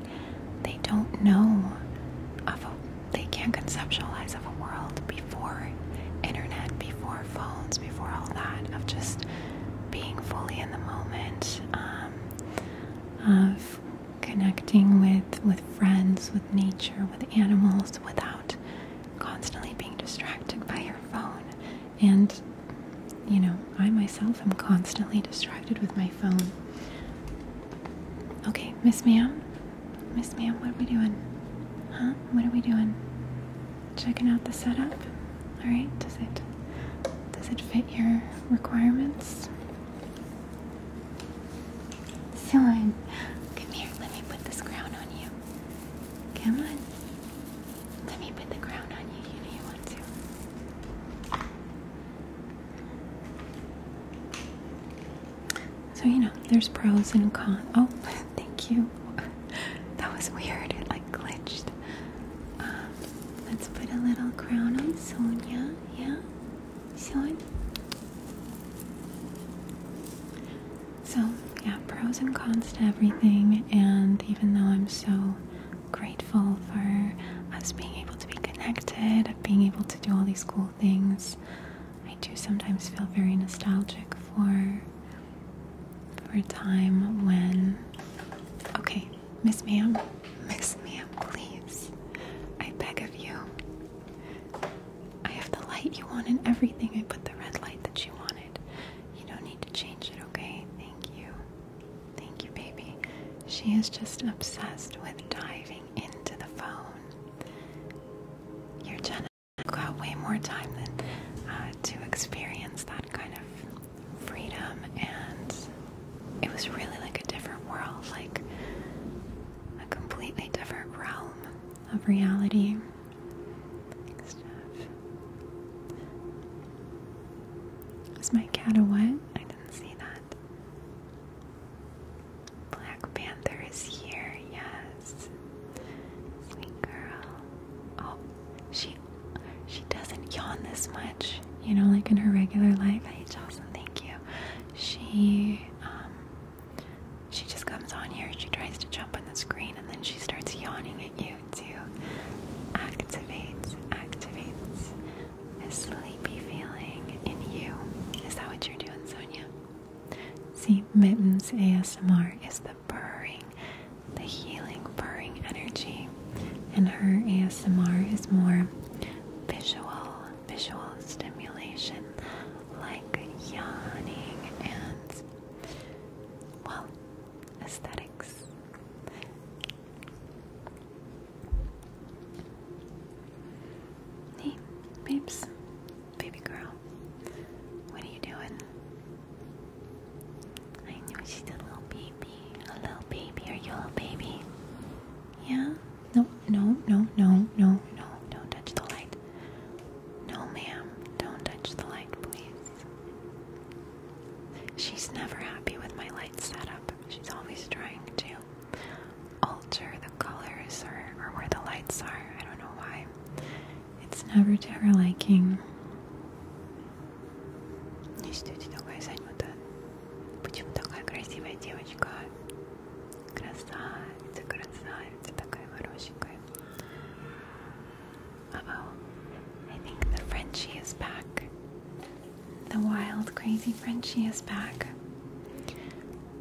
they don't know of a. They can't conceptualize of a world before internet, before phones, before all that, of just being fully in the moment, um, of connecting with with friends, with nature, with animals, without constantly being distracted by your phone. And you know, I myself am constantly distracted with my phone. Okay, Miss Ma'am, Miss Ma'am, what are we doing? Huh? What are we doing? checking out the setup. All right, does it does it fit your requirements? Son, come here. Let me put this crown on you. Come on. Let me put the crown on you. You know you want to. So you know, there's pros and cons. Oh, thank you. that was weird. It like glitched. Um, let's put a little crown on Sonia. Yeah, Sonia. So yeah, pros and cons to everything. And even though I'm so grateful for us being able to be connected, being able to do all these cool things, I do sometimes feel very nostalgic for for a time when. Okay, Miss Ma'am, Miss Ma'am, please. I beg of you. I have the light you want and everything. I put the red light that you wanted. You don't need to change it, okay? Thank you. Thank you, baby. She is just obsessed with diving into the phone. you Your Jenna got way more time than uh, to experience that kind of freedom and it was really like a different world, like a completely different realm of reality Is my cat a what? I didn't see that. Black Panther is here, yes. Sweet girl. Oh, she she doesn't yawn this much, you know, like in her regular life. Hey, Jocelyn, thank you. She, um, she just comes on here, she tries to jump on the screen, and then she starts yawning at you to activate, activate a sleepy feeling in you. Is that what you're doing, Sonia? See, Mittens ASMR is the the purring, the healing purring energy. And her ASMR is more visual, visual stimulation like yawning and, well, aesthetics. Hey, babes, baby girl, what are you doing? I know she's a little baby. A little baby. or you a little baby? Yeah? No, no, no, no, no, no. Don't touch the light. No, ma'am. Don't touch the light, please. She's never happy with my light setup. She's always trying to alter the colors or, or where the lights are. I don't know why. It's never to her liking. Не ждете такая занята. Почему такая красивая девочка? Красавица, красавица, такая хорошенькая. Uh oh, I think the Frenchie is back. The wild, crazy Frenchy is back.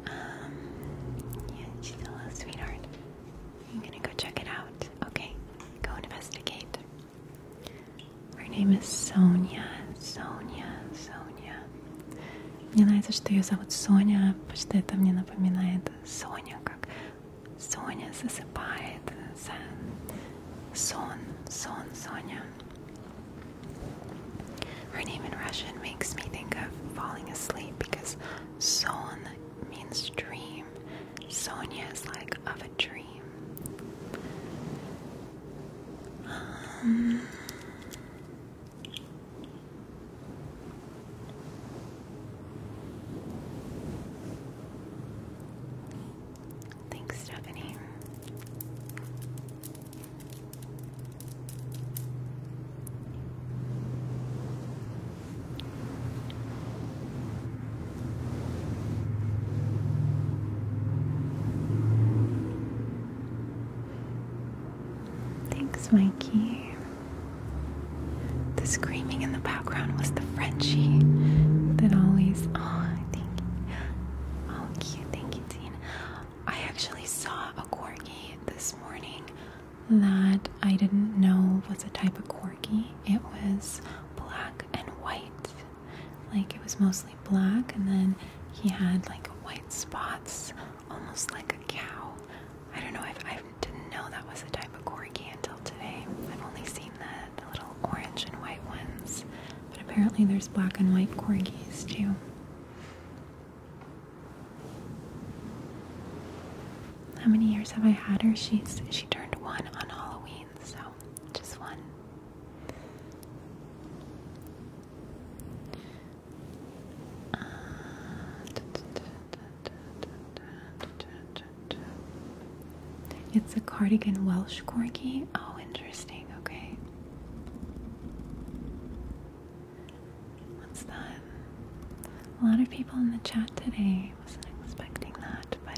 Um, yeah, she's a little sweetheart. I'm gonna go check it out. Okay, go investigate. Her name is Sonia, Sonia, Sonia. Мне нравится, что ее зовут Соня, потому что это мне напоминает Соня, как Соня засыпает, сон, сон, Соня. Her name in Russian makes me think of falling asleep because son means dream. Sonia is like of a dream. Um, thanks, Stephanie. Thanks, Mikey. The screaming in the background was the Frenchie that always. Oh, thank you. Oh, cute. Thank you, Dean. I actually saw a corgi this morning that I didn't know was a type of corgi. It was black and white. Like it was mostly black, and then he had like white spots, almost like a cow. I don't know, I've, I i did not know that was a type of corgi until today. I've only seen the, the little orange and white ones, but apparently there's black and white corgis too. How many years have I had her? She's she turned one on Halloween so just one. it's a cardigan Welsh corgi. Oh, interesting. Okay. What's that? A lot of people in the chat today. Wasn't expecting that, but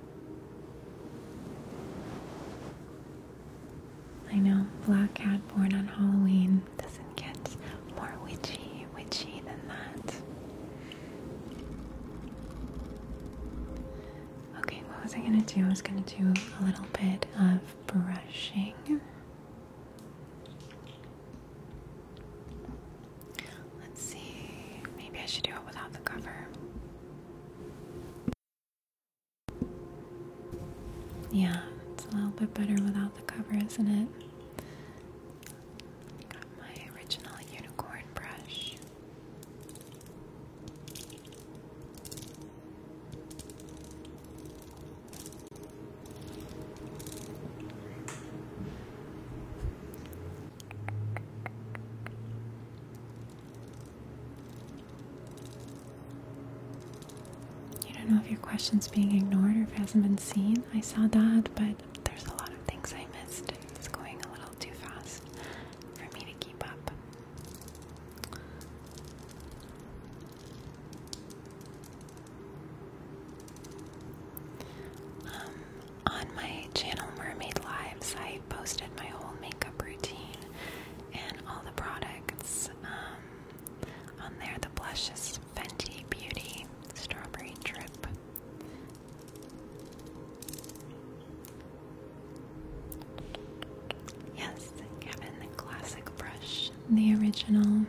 I know, black cat born on Halloween doesn't get more witchy, witchy than that. Okay, what was I gonna do? I was gonna do a little bit of brushing. Let's see. Maybe I should do it without the cover. Yeah, it's a little bit better without the cover, isn't it? got my original unicorn brush. You don't know if your question's being ignored or if it hasn't been seen. I saw that, but there's a lot of things I missed. It's going a little too fast for me to keep up. Um, on my channel Mermaid Lives, I posted my whole makeup routine and all the products um, on there. The blush is Fenty Beauty Strawberry Drip. Yes, Kevin, the classic brush, the original.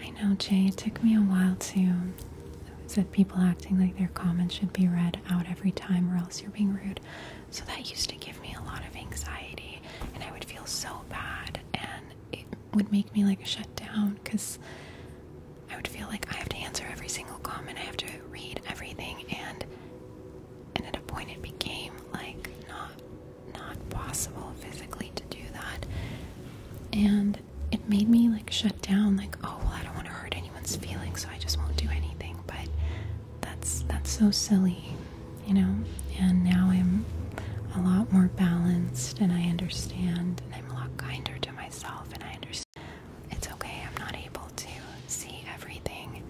I know, Jay, it took me a while to. Said people acting like their comments should be read out every time, or else you're being rude. So that used to give me a lot of anxiety, and I would feel so bad, and it would make me like shut down because I would feel like I have to answer every single comment, I have to read everything, and and at a point it became like not not possible physically to do that. And it made me like shut down, like, oh well I don't want to hurt anyone's feelings, so I just won't do anything. But that's that's so silly, you know? And now I'm a lot more balanced and I understand and I'm a lot kinder to myself and I understand it's okay, I'm not able to see everything.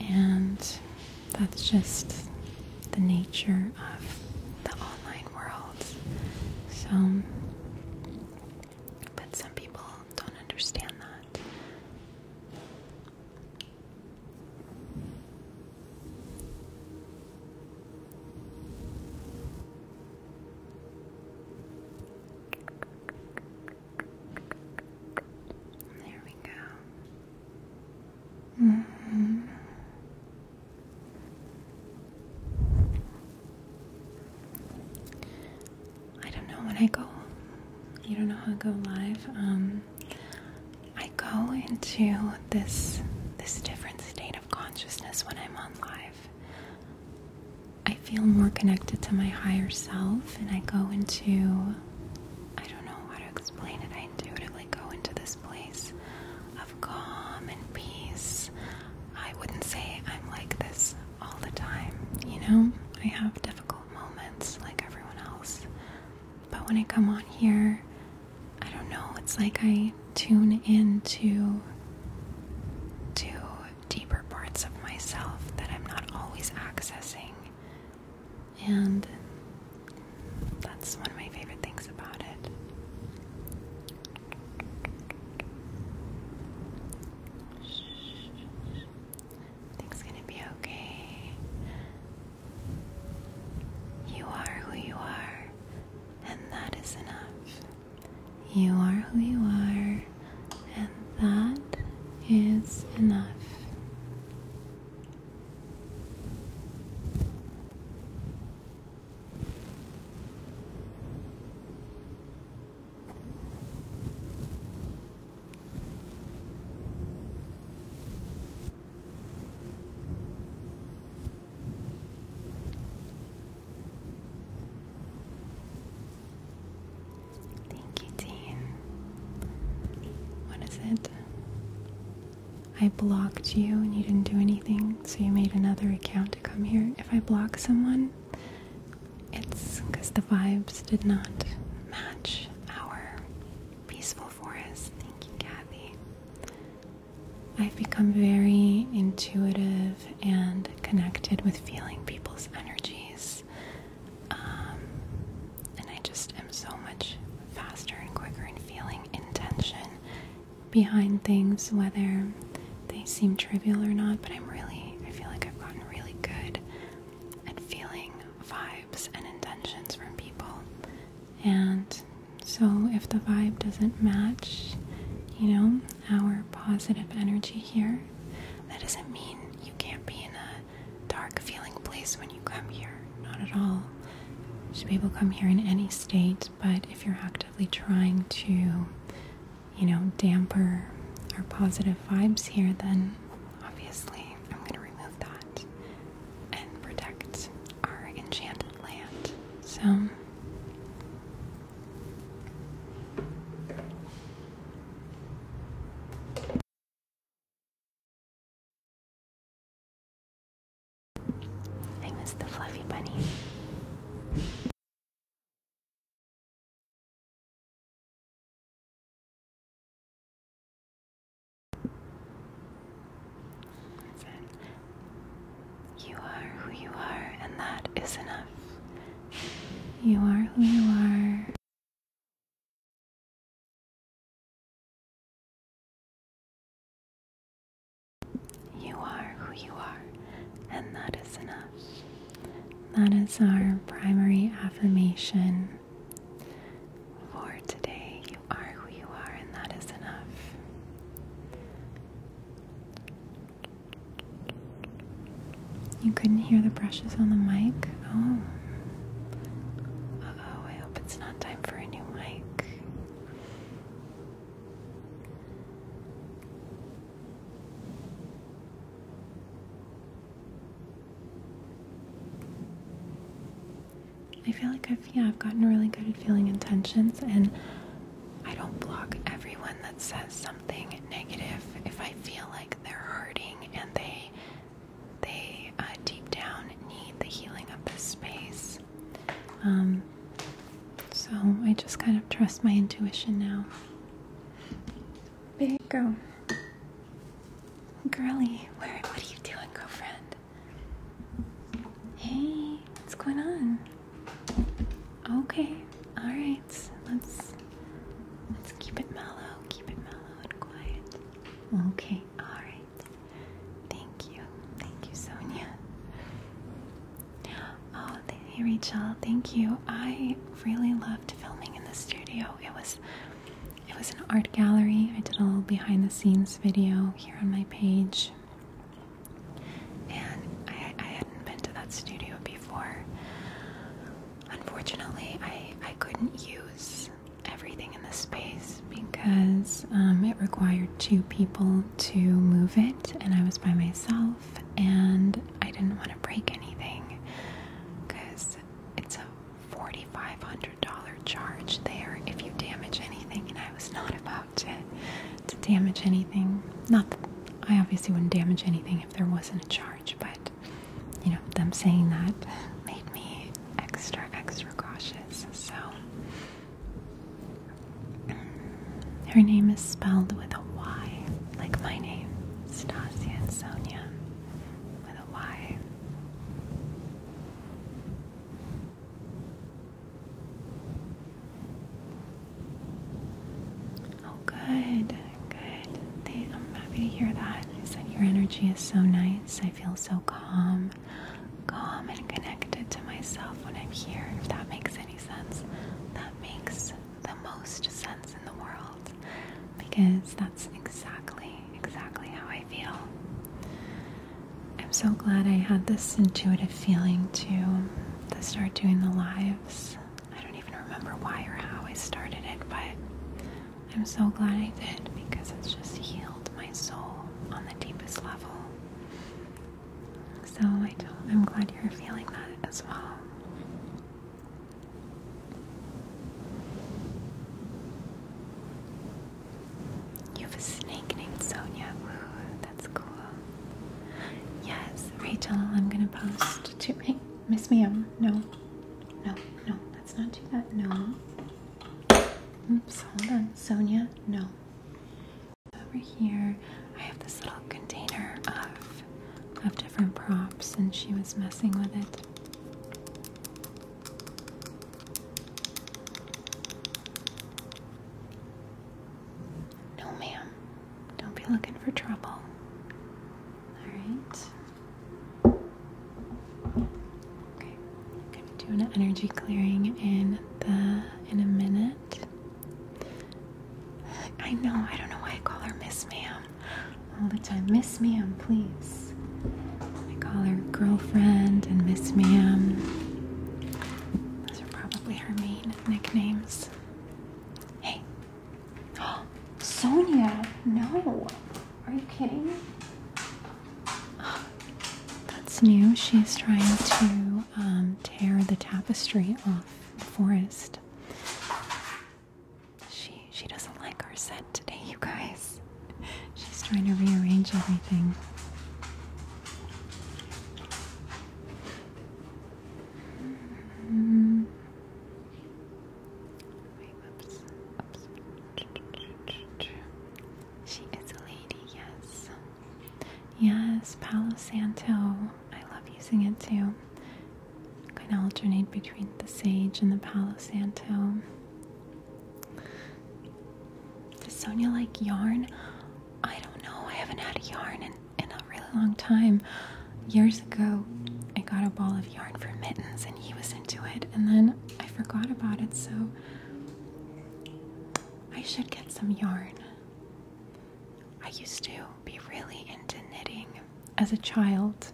And that's just the nature of the online worlds. So, but some people don't understand that. There we go. Mm-hmm. I don't know when I go. You don't know how I go live. Um, I go into this this different state of consciousness when I'm on live. I feel more connected to my higher self, and I go into I don't know how to explain it. I intuitively go into this place of calm and peace. I wouldn't say I'm like this all the time, you know? I have difficult moments like everyone else. But when I come on here, I don't know, it's like I tune into to deeper parts of myself that I'm not always accessing. And that's one of my favorite things about it. Things gonna be okay. You are who you are, and that is enough. You are who you are, and that is enough. Thank you, Dean. What is it? I blocked you and you didn't do anything, so you made another account to come here. If I block someone, it's because the vibes did not match our peaceful forest. Thank you, Kathy. I've become very intuitive and connected with feeling people's energies. Um, and I just am so much faster and quicker in feeling intention behind things, whether they seem trivial or not, but I'm really, I feel like I've gotten really good at feeling vibes and intentions from people. And so if the vibe doesn't match, you know, our positive energy here, that doesn't mean you can't be in a dark feeling place when you come here. Not at all. Should people come here in any state but if you're actively trying to, you know, damper our positive vibes here, then obviously I'm going to remove that and protect our enchanted land. So. I miss the fluffy bunny. you are who you are, and that is enough. You are who you are. You are who you are, and that is enough. That is our primary affirmation for today. You are who you are, and that is enough. You couldn't hear the brushes on the mic? Oh. oh, I hope it's not time for a new mic. I feel like I've yeah, I've gotten really good at feeling intentions and I don't block everyone that says something negative if I feel like they're hurting and they they uh, deep down need the healing of this space. Um, so I just kind of trust my intuition now. There you go. Girly, where, what are you doing, girlfriend? Hey, what's going on? Okay, all right. Let's let's keep it mellow, keep it mellow and quiet. Okay, all right. Thank you. Thank you, Sonia. Oh, hey, Rachel. Thank you. I really loved filming in the studio. It was it was an art gallery. I did a little behind the scenes video here on my page. And I, hadn't been to that studio before. Unfortunately, I, I couldn't use everything in the space because um, it required two people to move it, and I was by myself, and I didn't want to break anything because it's a $4,500 charge there if you damage anything, and I was not about to, to damage anything. Not that I obviously wouldn't damage anything if there wasn't a charge, but you know, them saying that made me extra, extra cautious. So. Her name is spelled with a Y, like my name, Stasia and Sonia, with a Y. Oh, good, good. I'm happy to hear that. Is that your energy is so nice? I feel so calm calm and connected to myself when I'm here, if that makes any sense. That makes the most sense in the world because that's exactly, exactly how I feel. I'm so glad I had this intuitive feeling to, to start doing the lives. I don't even remember why or how I started it, but I'm so glad I did because it's just healed my soul on the deepest level. So I am glad you're feeling that as well. You have a snake named Sonia. that's cool. Yes, Rachel, I'm gonna post to hey, Miss Meow. Um, no, no, no, let's not do that. No. Oops, hold on. Sonia, no. Over here, I have this little container of of different props, and she was messing with it. No, ma'am. Don't be looking for trouble. Alright. Okay. Gonna do an energy clearing in the in a minute. I know, I don't know why I call her Miss Ma'am all the time. Miss Ma'am, please. I call her girlfriend and Miss Ma'am. Those are probably her main nicknames. Hey. Sonia, no. Are you kidding? Oh, that's new. She's trying to um, tear the tapestry off the forest. She she doesn't like our set today, you guys. She's trying to rearrange everything. Mm. oops, oops. She is a lady, yes. Yes, Palo Santo. I love using it too. I kind of alternate between the sage and the Palo Santo. Does Sonia like yarn? I don't know. I haven't had a yarn in, in a really long time. Years ago, I got a ball of yarn for mittens and he was into it, and then I forgot about it, so I should get some yarn. I used to be really into knitting as a child.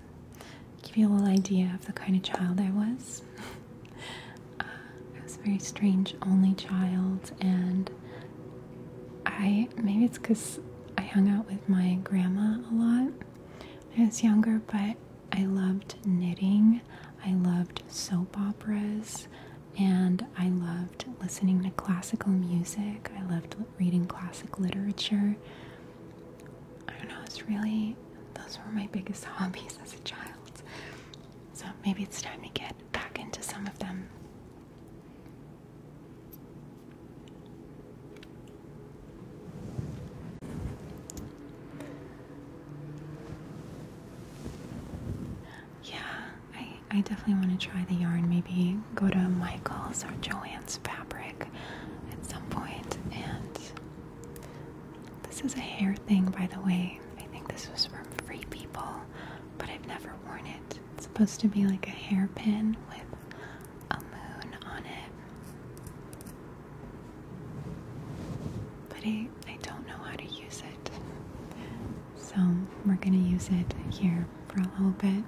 Give you a little idea of the kind of child I was. Uh, I was a very strange only child, and I maybe it's because I hung out with my grandma a lot when I was younger, but I loved knitting. I loved soap operas and I loved listening to classical music. I loved reading classic literature. I don't know, it's really, those were my biggest hobbies as a child. So maybe it's time to get back into some of them. Yeah, I definitely want to try the yarn. Maybe go to Michael's or Joanne's Fabric at some point. And this is a hair thing, by the way. I think this was from Free People, but I've never worn it. It's supposed to be like a hairpin with a moon on it. But I, I don't know how to use it. So we're going to use it here for a little bit.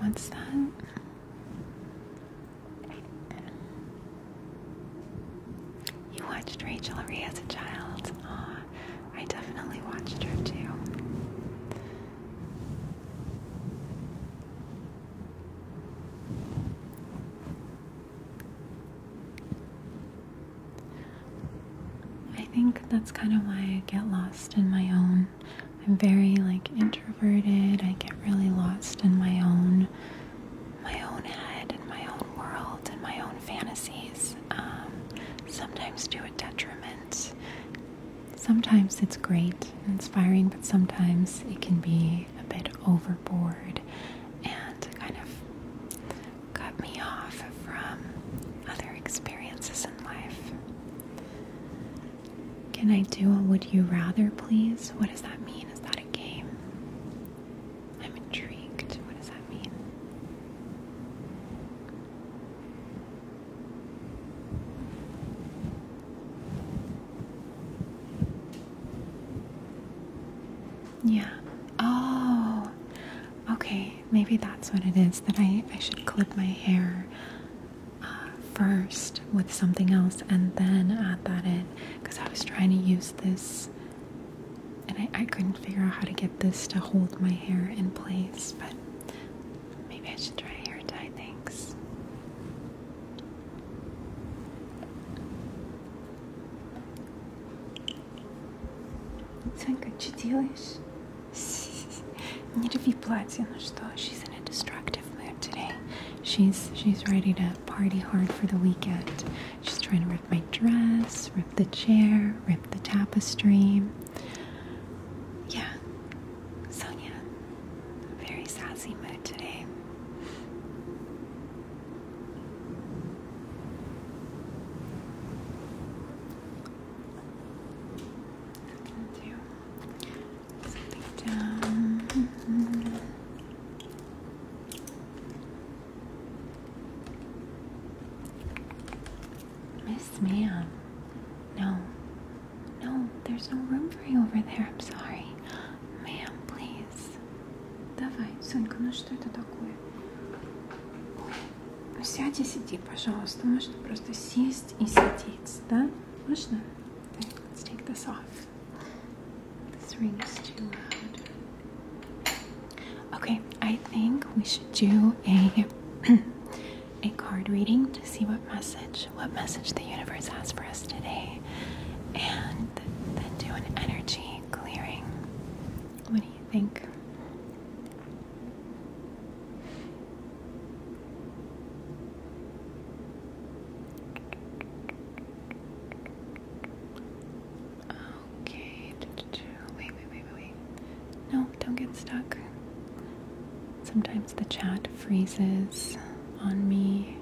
What's that? You watched Rachel Ray as a child. Oh, I definitely watched her too. I think that's kind of why I get lost in my own. I'm very like introverted. I get really lost in my own my own head and my own world and my own fantasies. Um, sometimes do a detriment. Sometimes it's great inspiring, but sometimes it can be a bit overboard and kind of cut me off from other experiences in life. Can I do a would you rather, please? What does that mean? Is that a game? I'm intrigued. What does that mean? Yeah. Oh. Okay. Maybe that's what it is that I, I should clip my hair uh, first with something else and then add that in. Because I was trying to use this and I, I couldn't figure out how to get this to hold my hair in place. But maybe I should try hair dye. Thanks. Think what you делаешь? Не рви платье, ну She's in a destructive mood today. She's she's ready to party hard for the weekend. She's trying to rip my dress, rip the chair, rip the tapestry. Yeah. Sonia, very sassy mood today. something down. Miss Ma'am. No. No, there's no room for you over there. I'm sorry. Ma'am, please. Давай, Сонька, ну что это такое? Ну сядь пожалуйста. Можно просто сесть и сидеть, да? Можно? Let's take this off. This ring is too loud. Okay, I think we should do a a card reading to see what message what message the universe has for us today, and then do an energy clearing. What do you think? Okay, wait, wait, wait, wait. No, don't get stuck. Sometimes the chat freezes on me.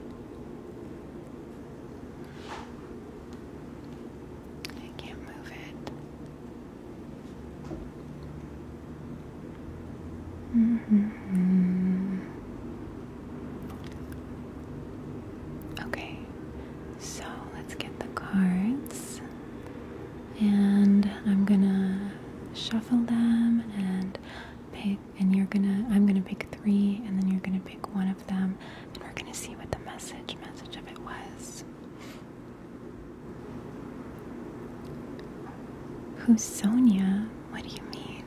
I can't move it. -hmm. Okay, so let's get the cards, and I'm gonna shuffle them and pick and you're gonna I'm gonna pick three and then you're gonna pick one of them and we're gonna see what the message message of it was. Who's Sonia? What do you mean?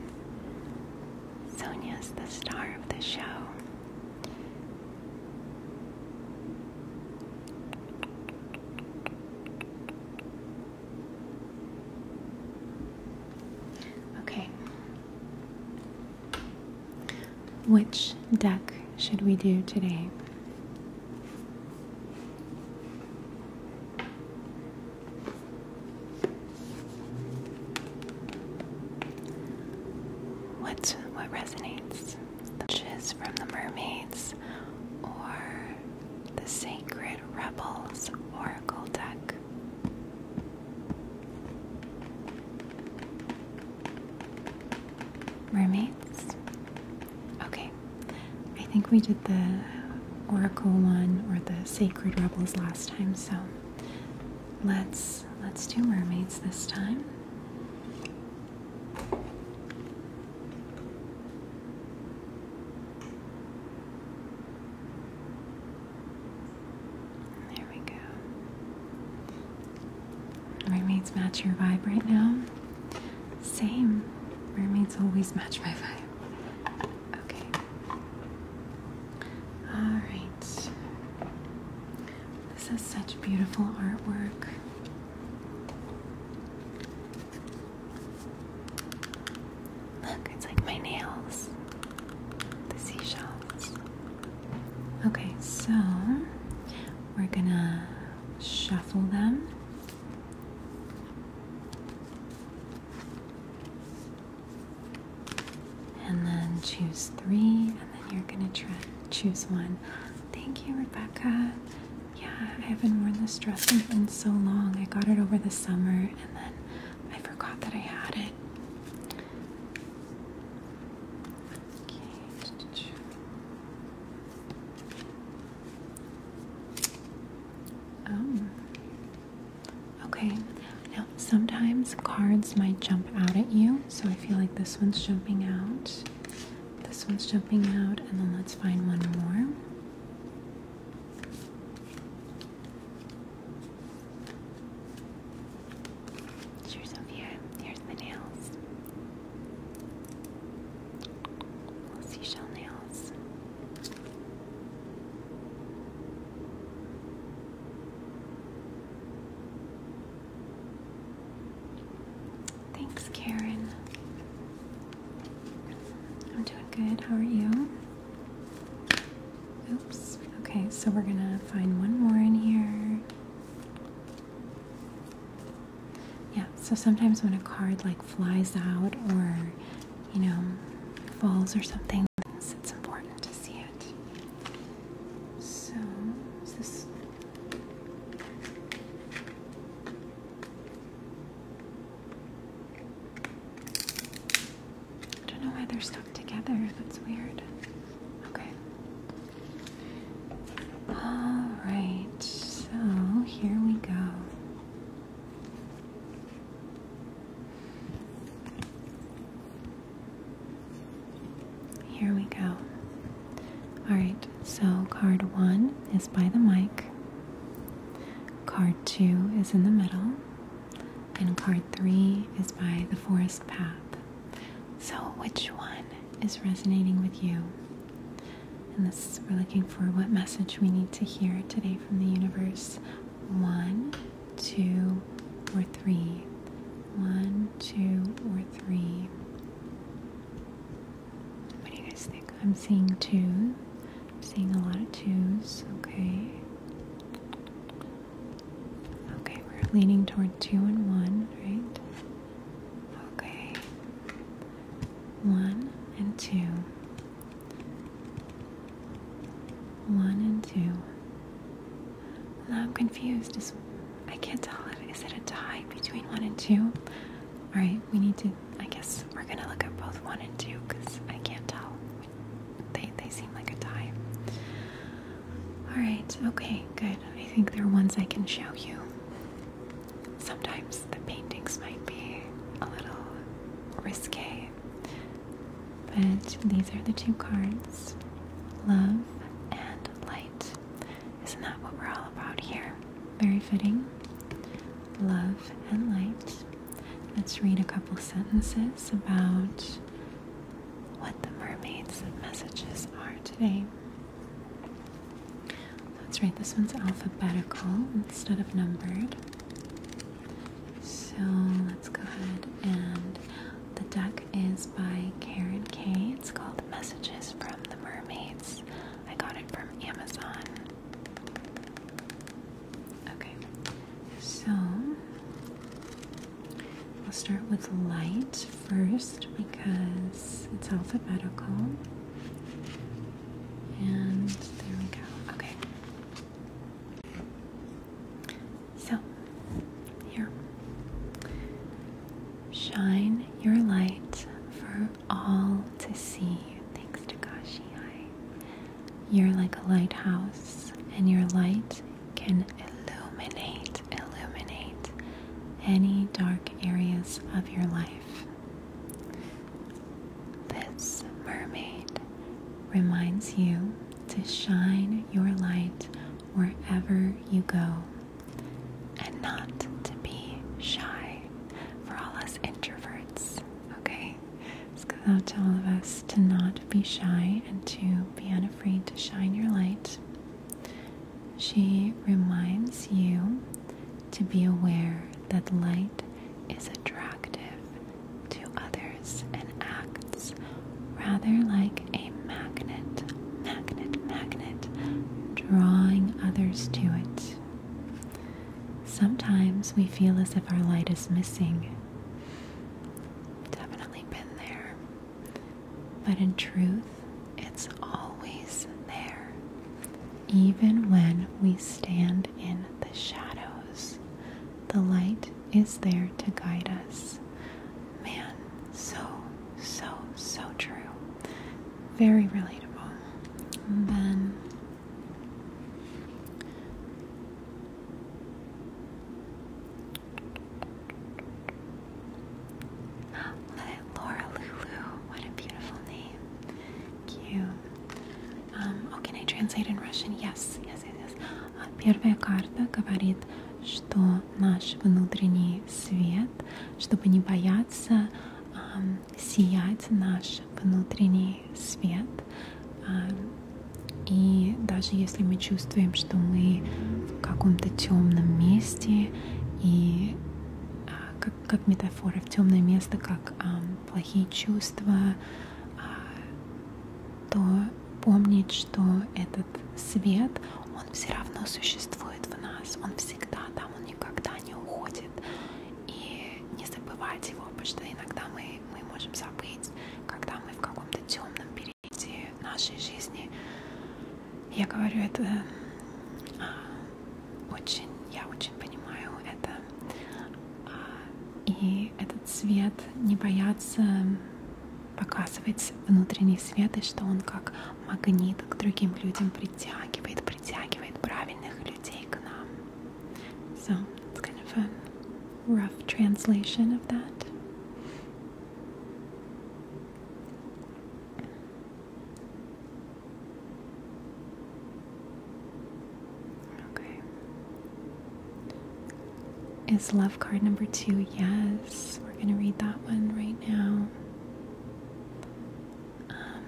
Sonia's the star of the show. Okay, which deck should we do today? What what resonates? The witches from the mermaids or the sacred rebels oracle deck? Mermaids? Okay. I think we did the Oracle one or the Sacred Rebels last time, so let's let's do mermaids this time. There we go. Mermaids match your vibe right now? Same. Mermaids always match my vibe. Okay. Alright. This is such beautiful artwork. Look, it's like my nails. The seashells. Okay, so we're gonna shuffle them. And then choose three, and then you're gonna try choose one. Thank you, Rebecca. Yeah, I haven't worn this dress in so long. I got it over the summer, and then I forgot that I had it. Okay. Um. Okay. Now sometimes cards might jump out at you, so I feel like this one's jumping out. This one's jumping out, and then let's find one more. Sure, Sophia. Here's the nails. seashell nails. Thanks, Karen. I'm doing good. How are you? Oops. Okay, so we're gonna find one more in here. Yeah, so sometimes when a card like flies out or you know falls or something, it's important to see it. So is this I don't know why they're stuck together. That's weird. Okay. All right. So here we go. Here we go. All right. So card one is by the mic. Card two is in the middle. And card three is by the forest path. So, which one is resonating with you? And this, we're looking for what message we need to hear today from the universe. One, two, or three. One, two, or three. What do you guys think? I'm seeing two. I'm seeing a lot of twos. Okay. Okay, we're leaning toward two and one, right? Okay. One and two. One and two. Now I'm confused. Is, I can't tell. Is it a tie between one and two? Alright, we need to. I guess we're gonna look at both one and two because I can't tell they they seem like a tie. All right. Okay. Good. I think they're ones I can show you. Sometimes the paintings might be a little risque, but these are the two cards: love and light. Isn't that what we're all about here? Very fitting. Love and light. Let's read a couple sentences about what the mermaid's messages are today. That's right, this one's alphabetical instead of numbered. So let's go ahead and the deck is by Karen K. It's called Messages from the Mermaids. I got it from Amazon. Okay, so i will start with light first because it's alphabetical. And there we go. Okay. So, here. Shine your light for all to see. Thanks, Takashi. Hi. You're like a lighthouse, and your light can illuminate, illuminate any dark areas of your life. This mermaid reminds you to shine your light wherever you go and not to be shy for all us introverts, okay? It's goes out to all of us to not be shy and to be unafraid to shine your light. She reminds you to be aware that light is attractive to others and acts rather like a magnet, magnet, magnet, drawing others to it. Sometimes we feel as if our light is missing Definitely been there. But in truth, it's always there. Even when we stand in the shadows, the light is there to guide us. Man, so, so, so true. Very relatable. then Laura Lulu, what a beautiful name. Cute. Um, oh, can I translate in Russian? Yes, yes, yes, yes. Uh, первая карта говорит, что наш внутренний свет, чтобы не бояться um, сиять наш внутренний свет, а, и даже если мы чувствуем, что мы в каком-то темном месте, и а, как, как метафора, в темное место, как а, плохие чувства, то помнить, что этот свет, он все равно существует в нас, он всегда там, он никогда не уходит. И не забывать его, потому что иногда мы, мы можем забыть, когда мы в каком-то темном периоде событий нашей жизни. Я говорю это а, очень, я очень понимаю это. А, и этот свет не бояться показывать внутренний свет, и что он как магнит к другим людям притягивает, притягивает правильных людей к нам. So, it's kind of fun. rough translation of that. Okay. Is love card number two? Yes. We're going to read that one right now. Um,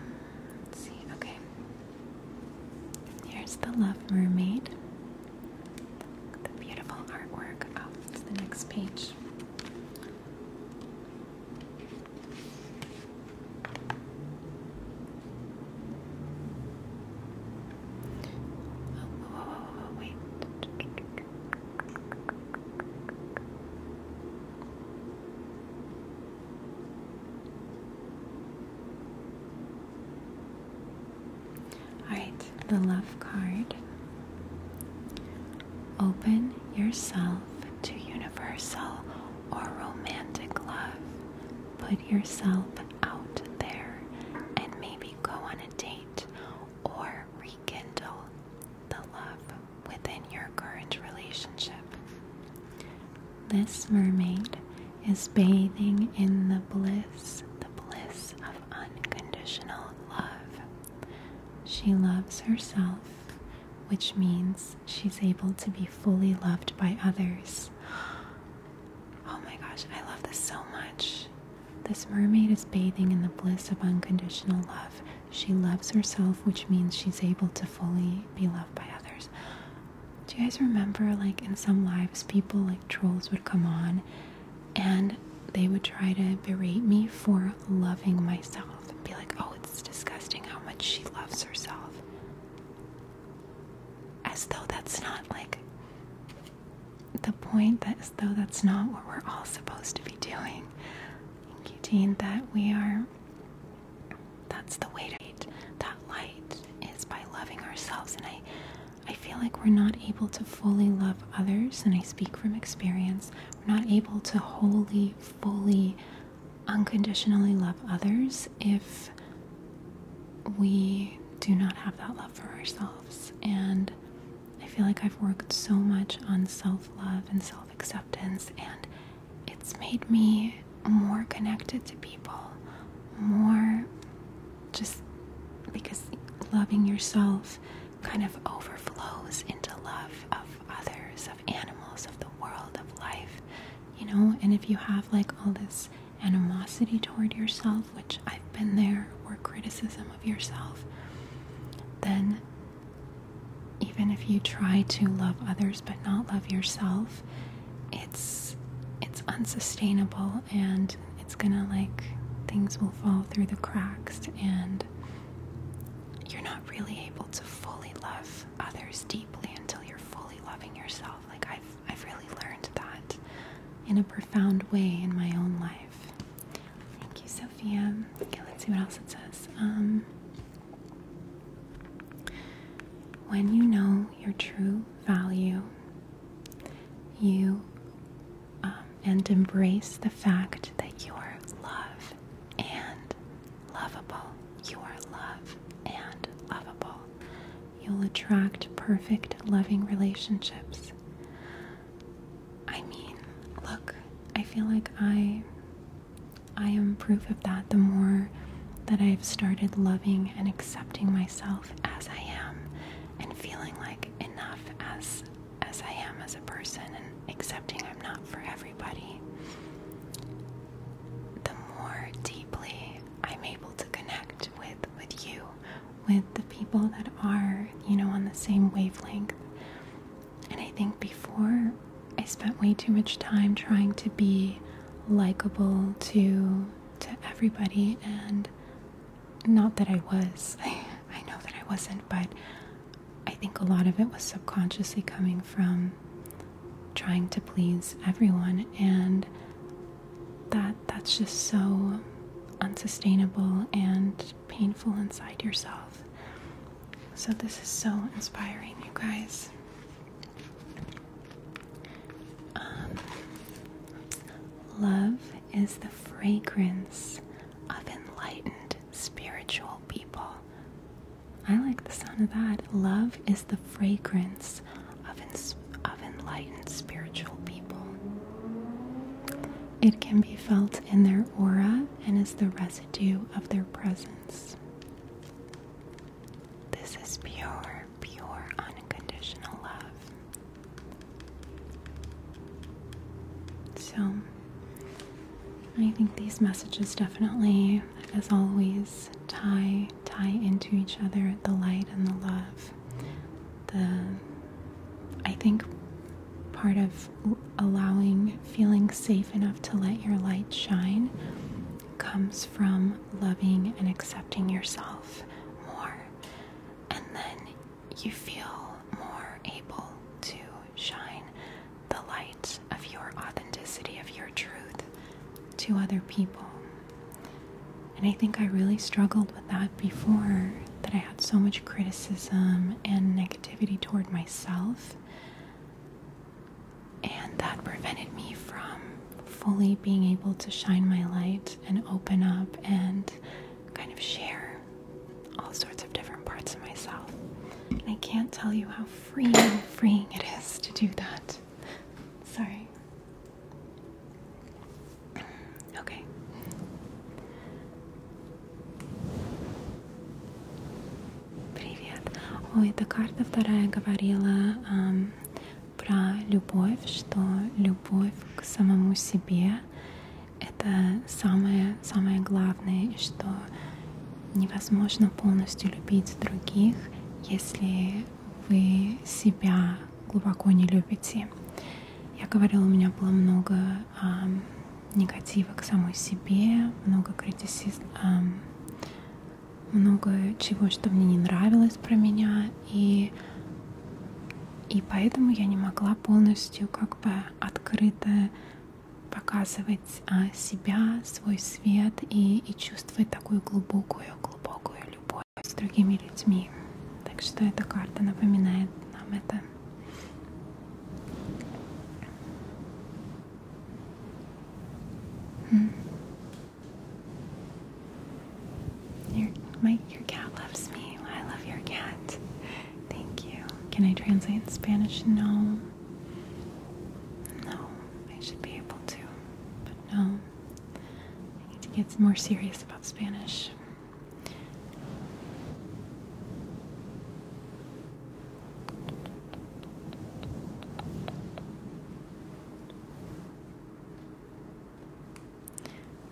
see. Okay. Here's the Love Mermaid the beautiful artwork. Oh, it's the next page. Oh, whoa, wait. Alright, the love card. Open yourself to universal or romantic love. Put yourself out there and maybe go on a date or rekindle the love within your current relationship. This mermaid is bathing in the bliss, the bliss of unconditional love. She loves herself, which means she's able to be fully loved by others. Oh my gosh, I love this so much. This mermaid is bathing in the bliss of unconditional love. She loves herself, which means she's able to fully be loved by others. Do you guys remember, like, in some lives, people like trolls would come on and they would try to berate me for loving myself and be like, oh, it's disgusting how much she loves herself. As though that's not like the point, that as though that's not what we're all supposed to be doing. Thank you, Dean, that we are, that's the way to that light is by loving ourselves. And I I feel like we're not able to fully love others, and I speak from experience. We're not able to wholly, fully, unconditionally love others if we do not have that love for ourselves. And I feel like I've worked so much on self love and self acceptance, and it's made me more connected to people, more just because loving yourself kind of overflows into love of others, of animals, of the world, of life, you know. And if you have like all this animosity toward yourself, which I've been there, or criticism of yourself, then even if you try to love others but not love yourself, it's it's unsustainable and it's gonna like things will fall through the cracks and you're not really able to fully love others deeply until you're fully loving yourself. Like I've I've really learned that in a profound way in my own life. Thank you, Sophia. Okay, let's see what else it says. Um when you know your true value, you um, and embrace the fact that you are love and lovable. You are love and lovable. You'll attract perfect, loving relationships. I mean, look, I feel like I I am proof of that the more that I've started loving and accepting myself as I am and feeling like enough as as I am as a person and accepting I'm not for everybody, the more deeply I'm able to connect with with you, with the people that are, you know, on the same wavelength. And I think before I spent way too much time trying to be likable to to everybody and not that I was. I, know that I wasn't, but I think a lot of it was subconsciously coming from trying to please everyone and that that's just so unsustainable and painful inside yourself. So this is so inspiring, you guys. Um, Love is the fragrance of enlightened spiritual people. I like the sound of that. Love is the fragrance of, of enlightened spiritual people. It can be felt in their aura and is the residue of their presence. This is pure, pure, unconditional love. So, I think these messages definitely, as always, tie tie into each other the light and the love. The I think part of allowing feeling safe enough to let your light shine comes from loving and accepting yourself more and then you feel more able to shine the light of your authenticity, of your truth to other people. And I think I really struggled with that before, that I had so much criticism and negativity toward myself. And that prevented me from fully being able to shine my light and open up and kind of share all sorts of different parts of myself. And I can't tell you how freeing, freeing it is to do that. Sorry. Okay. Привет. Ой, эта карта вторая говорила про любовь, что любовь к самому себе Это самое, самое главное, что невозможно полностью любить других, если вы себя глубоко не любите. Я говорила, у меня было много а, негатива к самой себе, много критицизма, а, много чего, что мне не нравилось про меня, и и поэтому я не могла полностью как бы открыто показывать а, себя, свой свет и, и чувствовать такую глубокую-глубокую любовь с другими людьми. Так что эта карта напоминает нам это. Your, my, your cat loves me. I love your cat. Thank you. Can I translate in Spanish? No. No, I should be able to, but no. I need to get more serious about Spanish.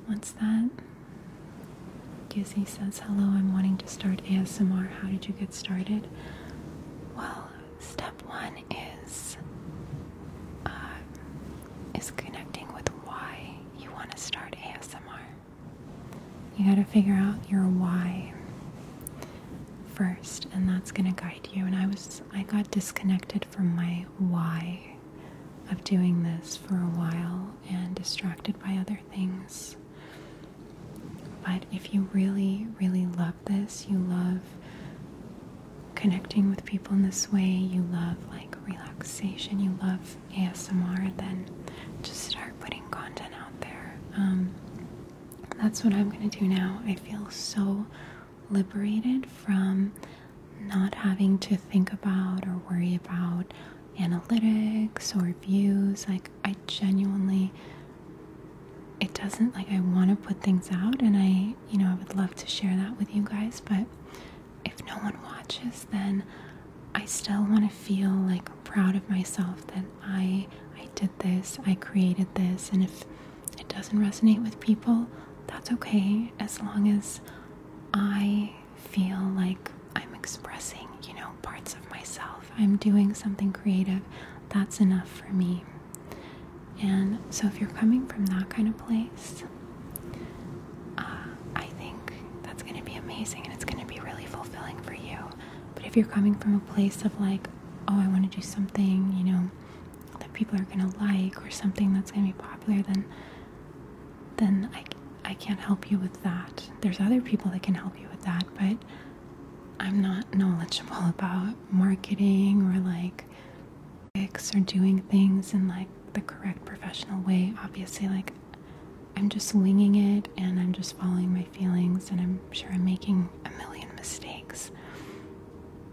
What's that? Gizzy says, Hello, I'm wanting to start ASMR. How did you get started? Well, step one is uh, is connecting with why you want to start ASMR. You got to figure out your why first, and that's going to guide you. And I was I got disconnected from my why of doing this for a while and distracted by other things. But if you really, really love this, you love connecting with people in this way, you love like relaxation, you love ASMR, then just start putting content out there. Um, that's what I'm gonna do now. I feel so liberated from not having to think about or worry about analytics or views. Like, I genuinely, it doesn't like I want to put things out, and I, you know, I would love to share that with you guys, but if no one watches, then I still want to feel like proud of myself that I I did this, I created this, and if it doesn't resonate with people, that's okay as long as I feel like I'm expressing, you know, parts of myself. I'm doing something creative. That's enough for me. And so, if you're coming from that kind of place, uh, I think that's going to be amazing and it's going to be really fulfilling for you. But if you're coming from a place of like, oh, I want to do something, you know, that people are going to like or something that's going to be popular, then then I, I can't help you with that. There's other people that can help you with that, but I'm not knowledgeable about marketing or like fix or doing things in like the correct professional way. Obviously, like I'm just winging it and I'm just following my feelings, and I'm sure I'm making a million mistakes.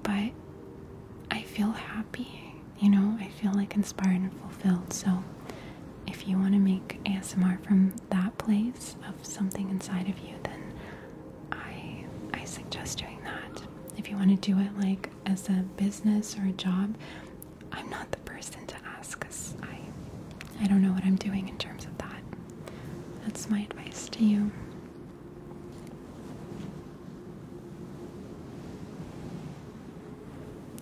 But I feel happy you know, I feel like inspired and fulfilled. So if you want to make ASMR from that place of something inside of you, then I I suggest doing that. If you want to do it like as a business or a job, I'm not the person to ask because I I don't know what I'm doing in terms of that. That's my advice to you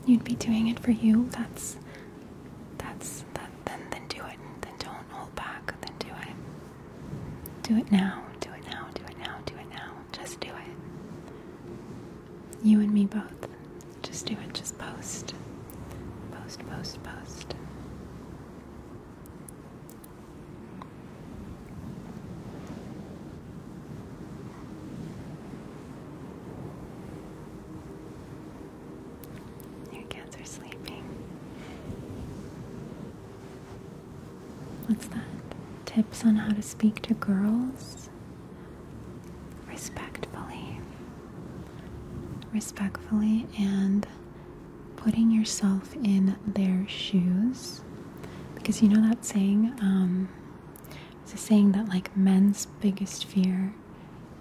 you'd be doing it for you that's that's that then then do it then don't hold back then do it do it now do it now do it now do it now just do it you and me both just do it just post post post post your cats are sleeping. What's that? Tips on how to speak to girls? Respectfully. Respectfully and putting yourself in their shoes. Because you know that saying, um, so saying that like men's biggest fear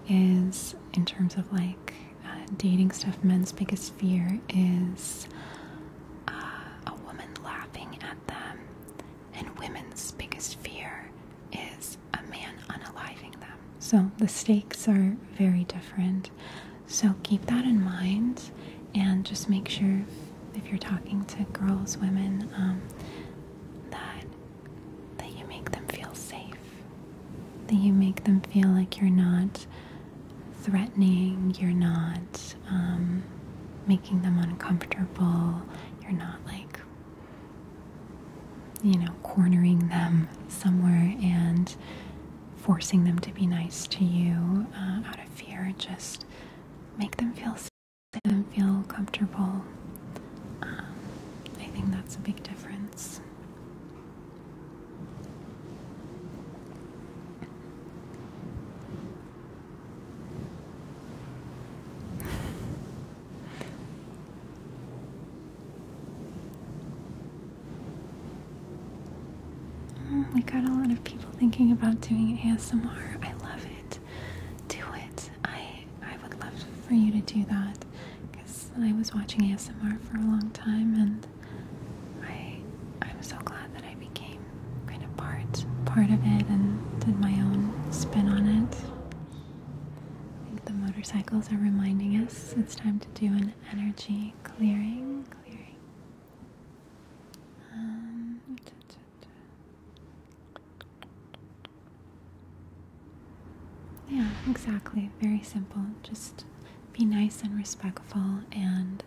is in terms of like uh, dating stuff. Men's biggest fear is uh, a woman laughing at them, and women's biggest fear is a man unaliving them. So the stakes are very different. So keep that in mind, and just make sure if you're talking to girls, women, um, that that you make them feel safe. That you make them feel like you're not threatening, you're not um, making them uncomfortable, you're not like, you know, cornering them somewhere and forcing them to be nice to you uh, out of fear. Just make them feel safe. I don't feel comfortable. Um, I think that's a big difference. Mm, we got a lot of people thinking about doing ASMR. I love it do it, I I would love for you to do that because I was watching ASMR for a long time and I I'm so glad that I became kind of part part of it and did my own spin on it. I think the motorcycles are reminding us it's time to do an energy clearing, um, yeah, exactly. Very simple. Just be nice and respectful and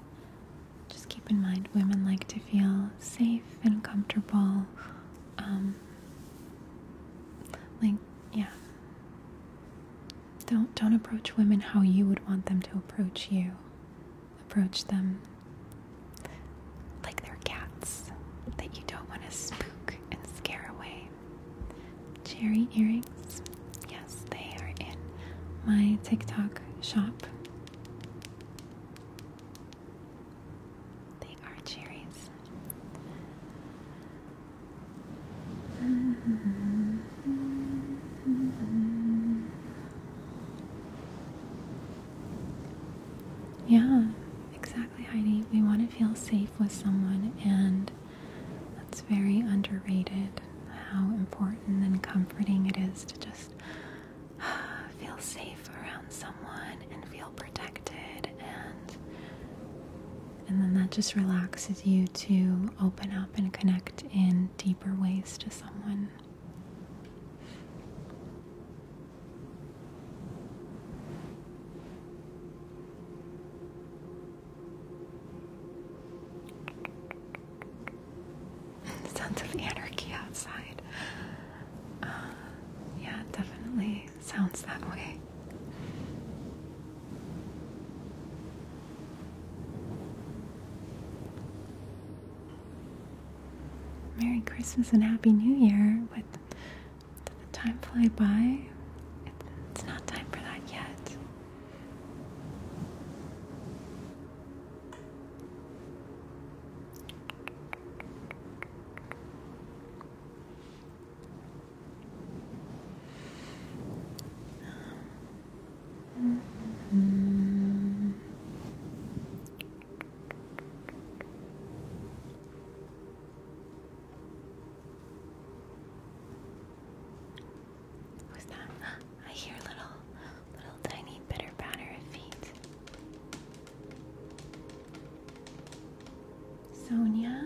just keep in mind women like to feel safe and comfortable. Um, like, yeah. Don't don't approach women how you would want them to approach you. Approach them like their cats that you don't want to spook and scare away. Cherry earrings, yes, they are in my TikTok shop. They are cherries. Yeah, exactly, Heidi. We want to feel safe with someone, and that's very underrated how important and comforting it is to just feel safe around someone and feel protected and and then that just relaxes you to open up and connect in deeper ways to someone. Sense of anarchy outside. Uh, yeah, definitely sounds that way. Merry Christmas and Happy New Year with did the time fly by? it's not time for that yet. -hmm. Who's that? I hear little, little tiny bitter patter of feet. Sonia?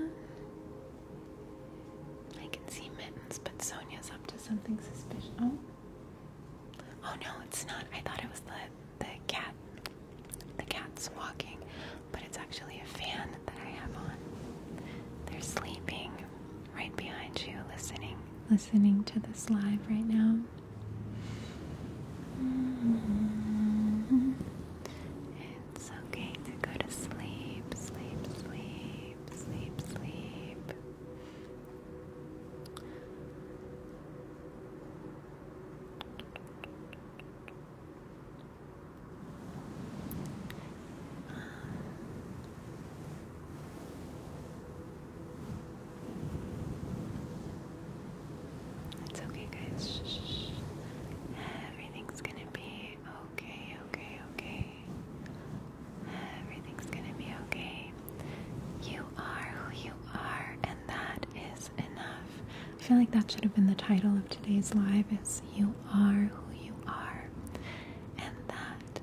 I can see mittens, but Sonia's up to something suspicious. Oh. Oh no, it's not. I thought it was the the cat the cat's walking, but it's actually a fan that I have on. They're sleeping right behind you, listening, listening to this live right now. It's okay to go to sleep, sleep, sleep, sleep, sleep. It's okay, guys. Everything's gonna be okay, okay, okay. Everything's gonna be okay. You are who you are, and that is enough. I feel like that should have been the title of today's live is You Are Who You Are. And that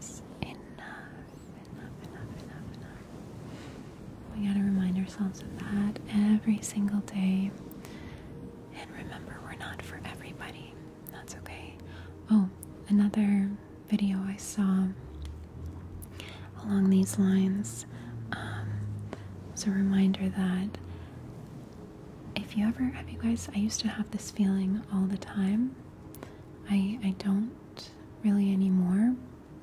is enough. Enough, enough, enough, enough. We gotta remind ourselves of that every single day. And remember, we're not for everybody. That's okay. Oh, another video I saw along these lines um, a reminder that if you ever have you guys I used to have this feeling all the time I I don't really anymore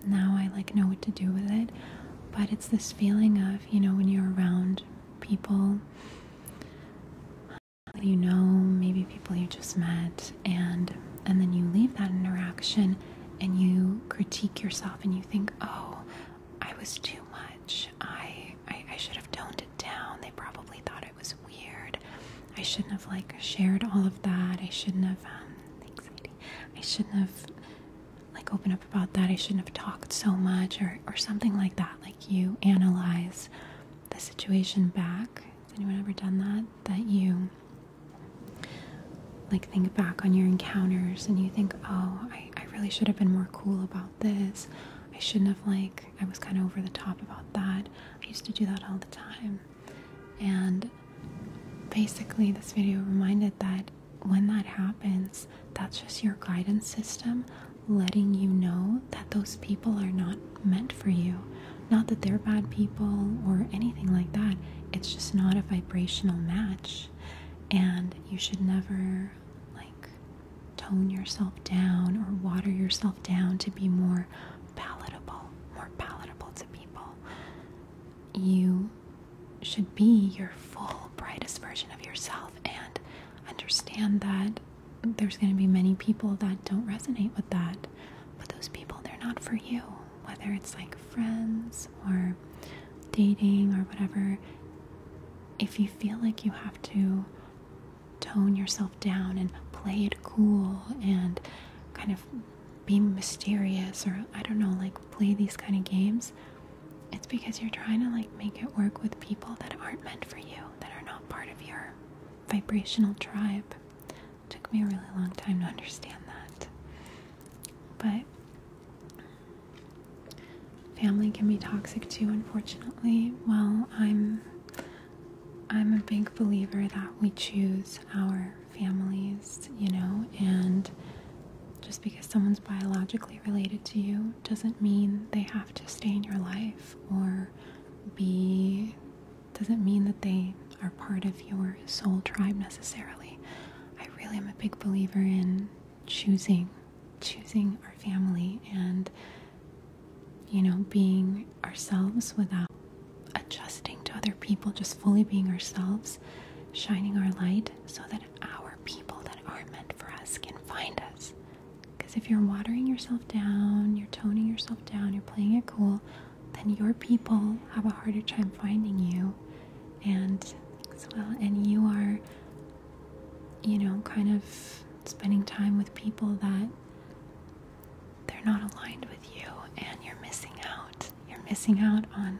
now I like know what to do with it but it's this feeling of you know when you're around people you know maybe people you just met and and then you leave that interaction and you critique yourself and you think, oh, I was too much. I, I, should have toned it down. They probably thought it was weird. I shouldn't have like shared all of that. I shouldn't have, um, thanks, I shouldn't have like opened up about that. I shouldn't have talked so much or, or something like that. Like you analyze the situation back. Has anyone ever done that? That you like think back on your encounters and you think oh I, really should have been more cool about this I shouldn't have like I was kind of over the top about that I used to do that all the time and basically this video reminded that when that happens that's just your guidance system letting you know that those people are not meant for you not that they're bad people or anything like that it's just not a vibrational match and you should never like tone yourself down or water yourself down to be more palatable, more palatable to people. You should be your full, brightest version of yourself and understand that there's going to be many people that don't resonate with that. But those people, they're not for you whether it's like friends or dating or whatever, if you feel like you have to tone yourself down and play it cool and kind of be mysterious or I don't know, like play these kind of games, it's because you're trying to like make it work with people that aren't meant for you, that are not part of your vibrational tribe. It took me a really long time to understand that. But Family can be toxic too, unfortunately. Well, I'm I'm a big believer that we choose our families, you know, and just because someone's biologically related to you doesn't mean they have to stay in your life or be doesn't mean that they are part of your soul tribe necessarily. I really am a big believer in choosing, choosing our family and, you know, being ourselves without adjusting to other people, just fully being ourselves, shining our light so that our people that are meant for us can find us. Because if you're watering yourself down, you're toning yourself down, you're playing it cool, then your people have a harder time finding you and well and you are you know kind of spending time with people that they're not aligned with you and you're missing out you're missing out on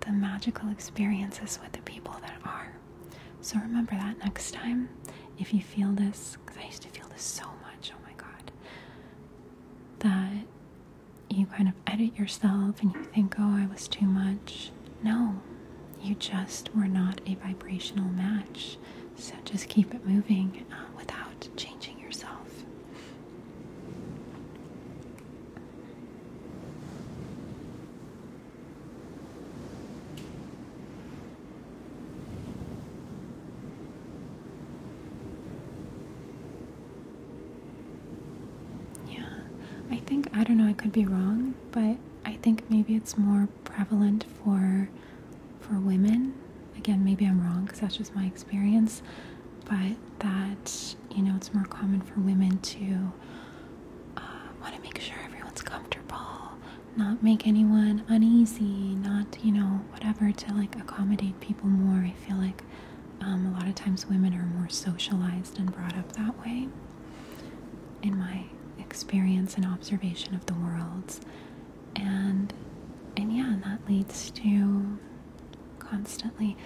the magical experiences with the people that are so remember that next time if you feel this because i used to feel this so much oh my god that you kind of edit yourself and you think, oh, I was too much. No, you just were not a vibrational match. So just keep it moving uh, without changing yourself. Yeah, I think, I don't know, I could be wrong, but I think maybe it's more prevalent for for women. Again, maybe I'm wrong because that's just my experience, but that, you know, it's more common for women to uh, want to make sure everyone's comfortable, not make anyone uneasy, not, you know, whatever, to like accommodate people more. I feel like um, a lot of times women are more socialized and brought up that way. In my experience and observation of the worlds, and and yeah, that leads to constantly.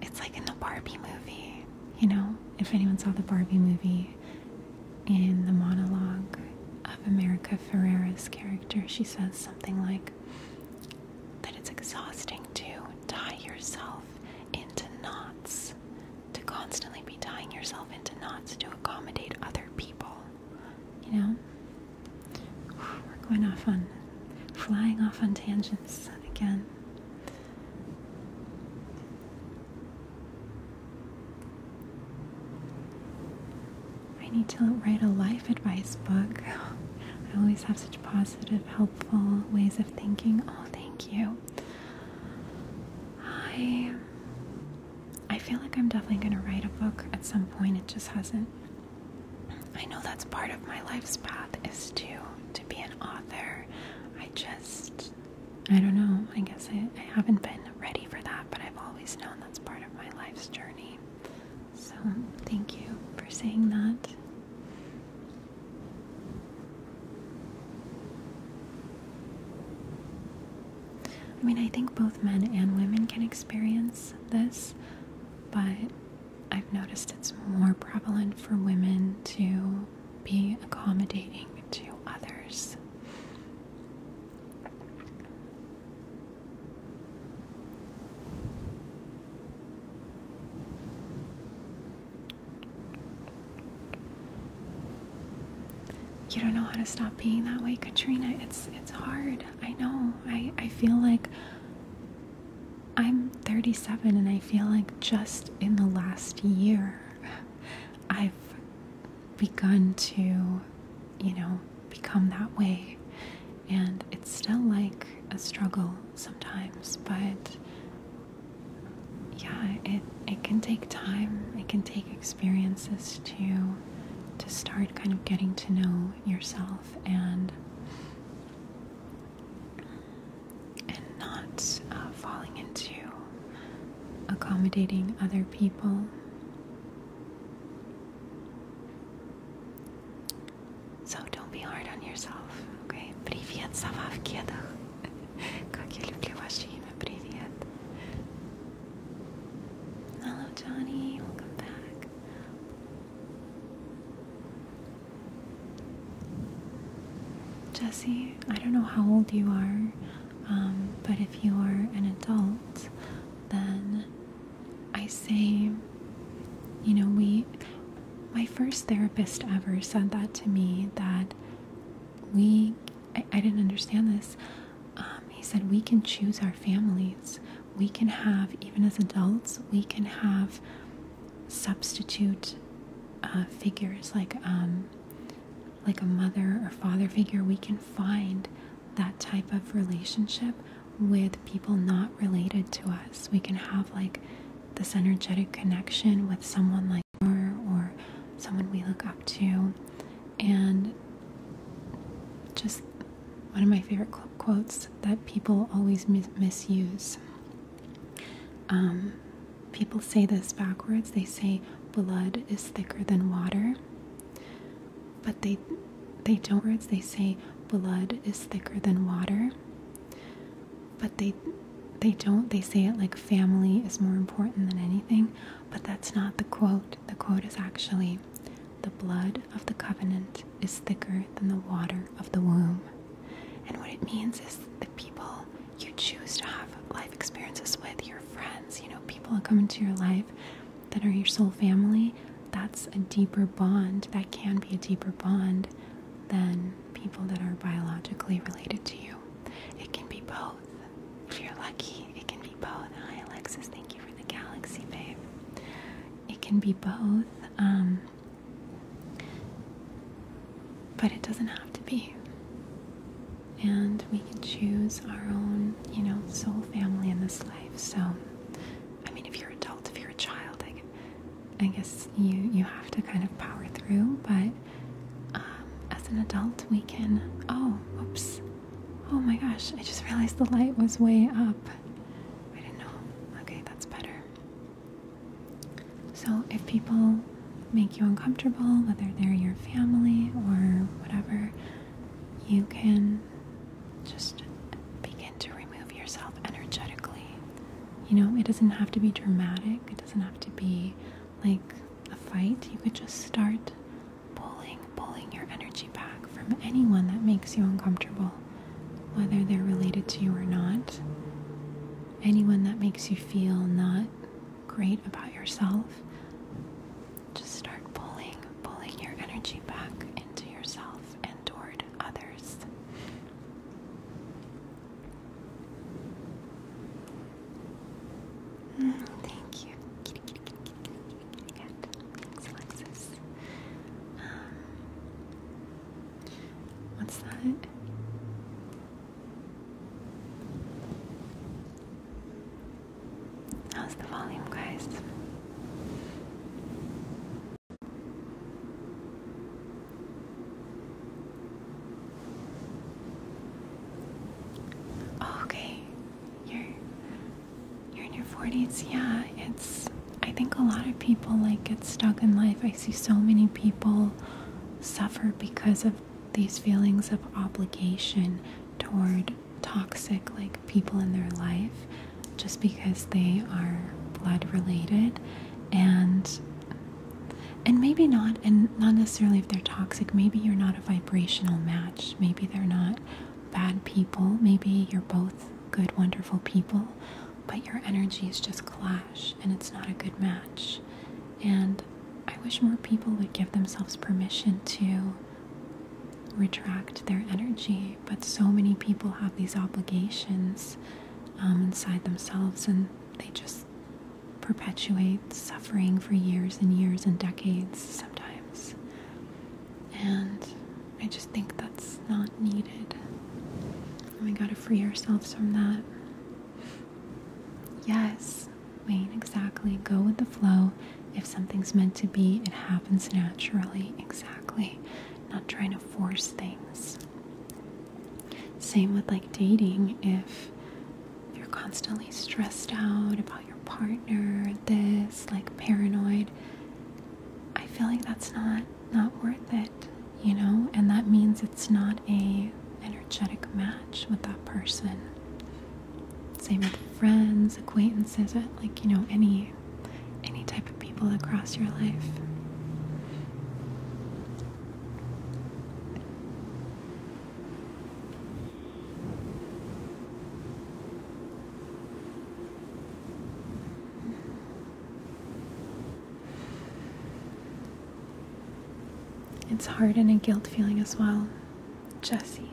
It's like in the Barbie movie, you know. If anyone saw the Barbie movie, in the monologue of America Ferrera's character, she says something like that it's exhausting to die yourself into knots, to constantly be tying yourself into knots to accommodate other people. You know? We're going off on, flying off on tangents again. I need to write a life advice book. I always have such positive, helpful ways of thinking, oh, thank you. I I feel like I'm definitely going to write a book at some point. It just hasn't. I know that's part of my life's path is to to be an author. I just I don't know. I guess I, I haven't been ready for that, but I've always known that's part of my life's journey. So, thank you for saying that. I mean, I think both men and women can experience this, but I've noticed it's more prevalent for women to be accommodating to others. You don't know how to stop being that way, Katrina. It's it's hard. I know. I I feel like I'm 37 and I feel like just in the last year I've begun to, you know, become that way. And it's still like a struggle sometimes, but yeah, it it can take time. It can take experiences to to start kind of getting to know yourself and and not uh, falling into accommodating other people. So don't be hard on yourself, okay? Привет, сова в кедах. Как я люблю ваше имя, привет. Hello, Johnny. Welcome back. Jesse, I don't know how old you are, um, but if you are an adult, then I say you know, we, my first therapist ever said that to me that we, I, didn't understand this. Um, he said, we can choose our families. We can have, even as adults, we can have substitute uh, figures like, um, like a mother or father figure. We can find that type of relationship with people not related to us. We can have like this energetic connection with someone like her or someone we look up to. And just one of my favorite quotes that people always misuse. Um, people say this backwards. They say blood is thicker than water, but they they don't. Words they say blood is thicker than water, but they they don't they say it like family is more important than anything but that's not the quote the quote is actually the blood of the covenant is thicker than the water of the womb and what it means is the people you choose to have life experiences with your friends you know people that come into your life that are your soul family that's a deeper bond that can be a deeper bond than people that are biologically related to you. It can be both. If you're lucky, it can be both. Hi, Alexis, thank you for the galaxy, babe. It can be both, um, but it doesn't have to be. And we can choose our own, you know, soul family in this life. So, I mean, if you're an adult, if you're a child, I like, I guess you you have to kind of power through, but um, as an adult, we can. Oh, oops! Oh my gosh! I just realized the light was way up. I didn't know. Okay, that's better. So if people make you uncomfortable, whether they're your family or whatever, you can just begin to remove yourself energetically you know, it doesn't have to be dramatic, it doesn't have to be like a fight. You could just start pulling, pulling your energy back from anyone that makes you uncomfortable, whether they're related to you or not. Anyone that makes you feel not great about yourself. Just start pulling, pulling your energy back into yourself and toward others. Mm, thank you. Um, what's that? How's the volume, guys? Oh, okay, you're you're in your 40s. Yeah, it's. I think a lot of people like get stuck in life. I see so many people suffer because of these feelings of obligation toward toxic like people in their life just because they are blood related and and maybe not and not necessarily if they're toxic maybe you're not a vibrational match maybe they're not bad people maybe you're both good wonderful people but your energies just clash and it's not a good match and i wish more people would give themselves permission to retract their energy but so many people have these obligations um, inside themselves and they just perpetuate suffering for years and years and decades sometimes. And I just think that's not needed. And we gotta free ourselves from that. Yes, Wayne, exactly. Go with the flow. If something's meant to be, it happens naturally. Exactly. Not trying to force things. Same with like dating. If you're constantly stressed out about your partner, this, like paranoid, I feel like that's not not worth it, you know? And that means it's not a energetic match with that person. Same with friends, acquaintances, uh, like you know, any any type of people across your life. It's hard and a guilt feeling as well, Jesse.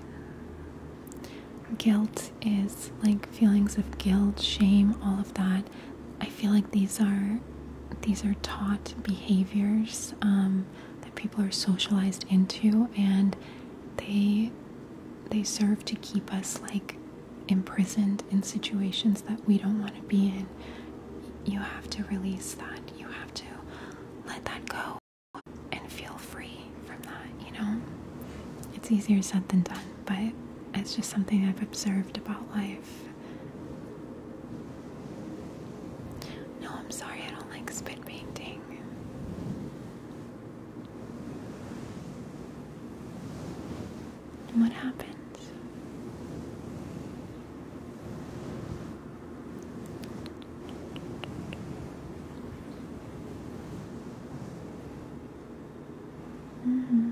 Guilt is like feelings of guilt, shame, all of that I feel like these are these are taught behaviors um, that people are socialized into, and they they serve to keep us like imprisoned in situations that we don't want to be in. You have to release that. You have to let that go and feel free from that. You know, it's easier said than done, but it's just something I've observed about life no, I'm sorry, I don't like spit painting. What happens? Mm -hmm.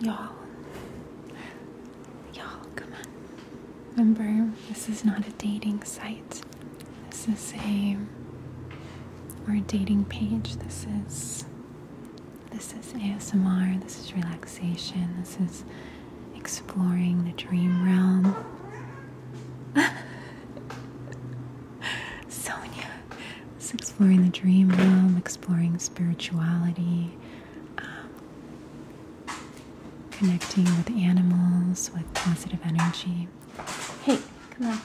Y'all, y'all, come on. Remember, this is not a dating site. This is a or a dating page. This is this is ASMR. This is relaxation. This is exploring the dream realm. Sonia, it's exploring the dream realm, exploring spirituality, um, connecting with animals, with positive energy. Hey, come on.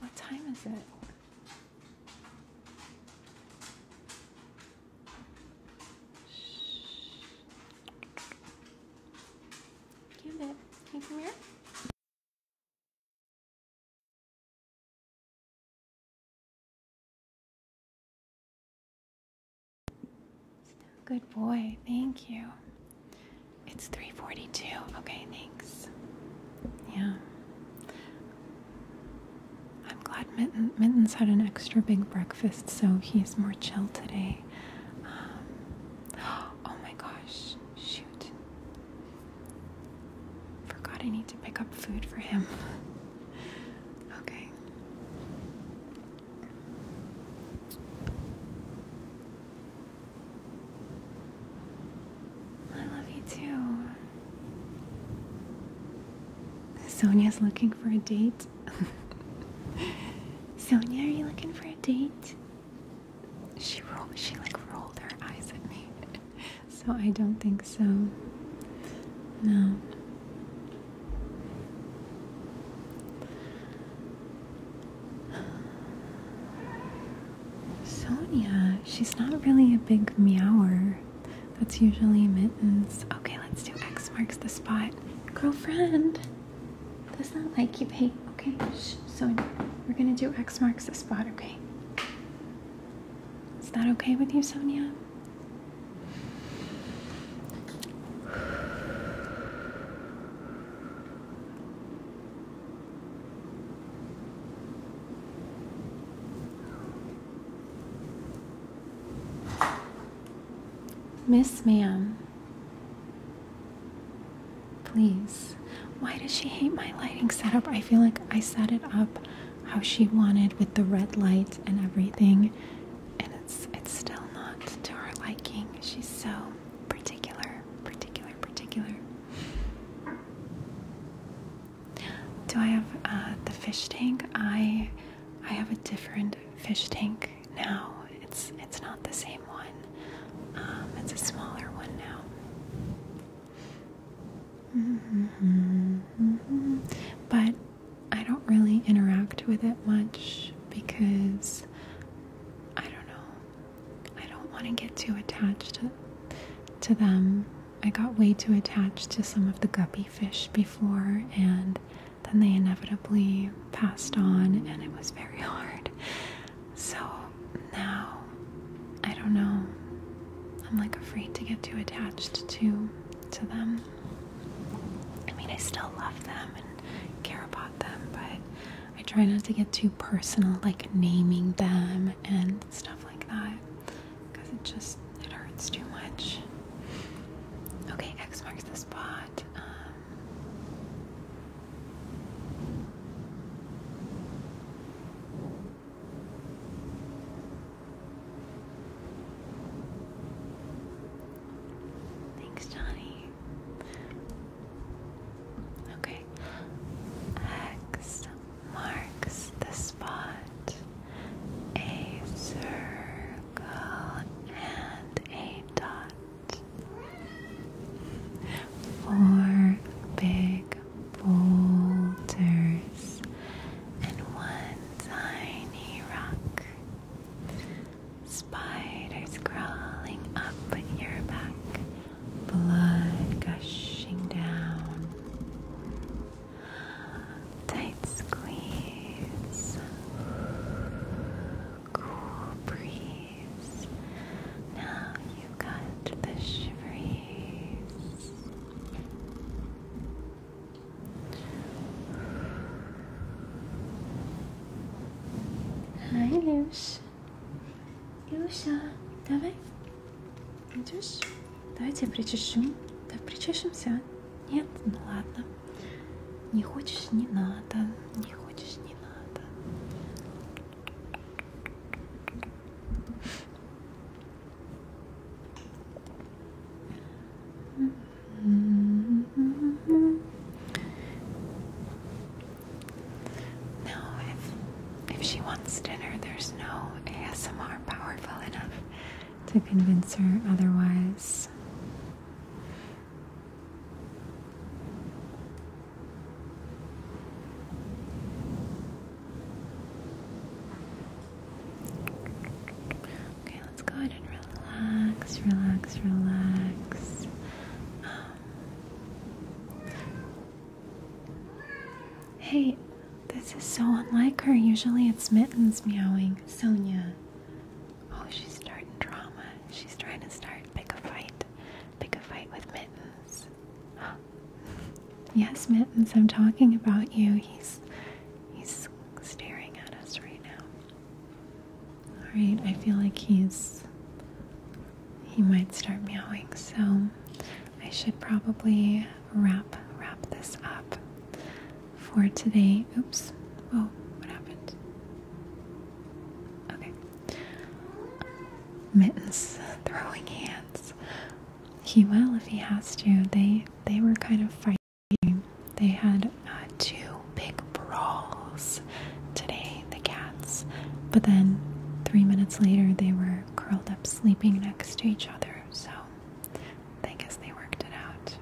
What time is it. Can you come here? Good boy, thank you. It's 342. Okay, thanks. Yeah. I'm glad Mitten's had an extra big breakfast, so he's more chill today. Um, oh my gosh, shoot. Forgot I need to pick up food for him. okay. I love you too. Sonia's looking for a date. Sonia, are you looking for a date? She rolled. She like rolled her eyes at me so I don't think so. No. Sonia, she's not really a big meower. That's usually mittens. Okay, let's do X marks the spot. Girlfriend, does not like you, babe. Okay, So we're gonna do X marks the spot, okay? Is that okay with you, Sonia? Miss Ma'am, please. Why does she hate my lighting setup? I feel like I set it up how she wanted with the red light and everything and it's it's still not to her liking she's so particular particular particular do i have uh, the fish tank i i have a different fish tank now it's it's not the same one um, it's a smaller one now Mm-hmm. But I don't really interact with it much because I don't know. I don't want to get too attached to them. I got way too attached to some of the guppy fish before, and then they inevitably passed on, and it was very hard. So now, I don't know. I'm like afraid to get too attached to to them. I mean, I still love them and care about them, but I try not to get too personal, like naming them and stuff like that, because it just it hurts too much. Okay, X marks the spot. Um, Thanks, Johnny. Okay. X marks the spot. A circle and a dot. Four big boulders and one tiny rock. Spiders crawling up your back, blood gushing down. Tight squeeze, cool breeze. Now you got the shiveries. Ай, Люся. Люся, давай. Идешь? Давайте причешу. Да причешемся. Нет? Ну ладно. Не хочешь, не надо. Не хочешь, не надо. No, if if she wants dinner, there's no ASMR powerful enough to convince her otherwise. Okay, let's go ahead and relax, relax, relax. Um, hey, this is so unlike her. Usually it's mittens meowing. Sonia. Oh, she's starting drama. She's trying to start pick a fight. Pick a fight with mittens. Yes, Mittens, I'm talking about you. He's he's staring at us right now. Alright, I feel like he's he might start meowing, so I should probably wrap wrap this up for today. Oops. Oh, what happened? Okay. Mittens throwing hands. He will if he has to. They they were kind of fighting. They had uh, two big brawls today, the cats. But then three minutes later, they were curled up sleeping next to each other. So I guess they worked it out.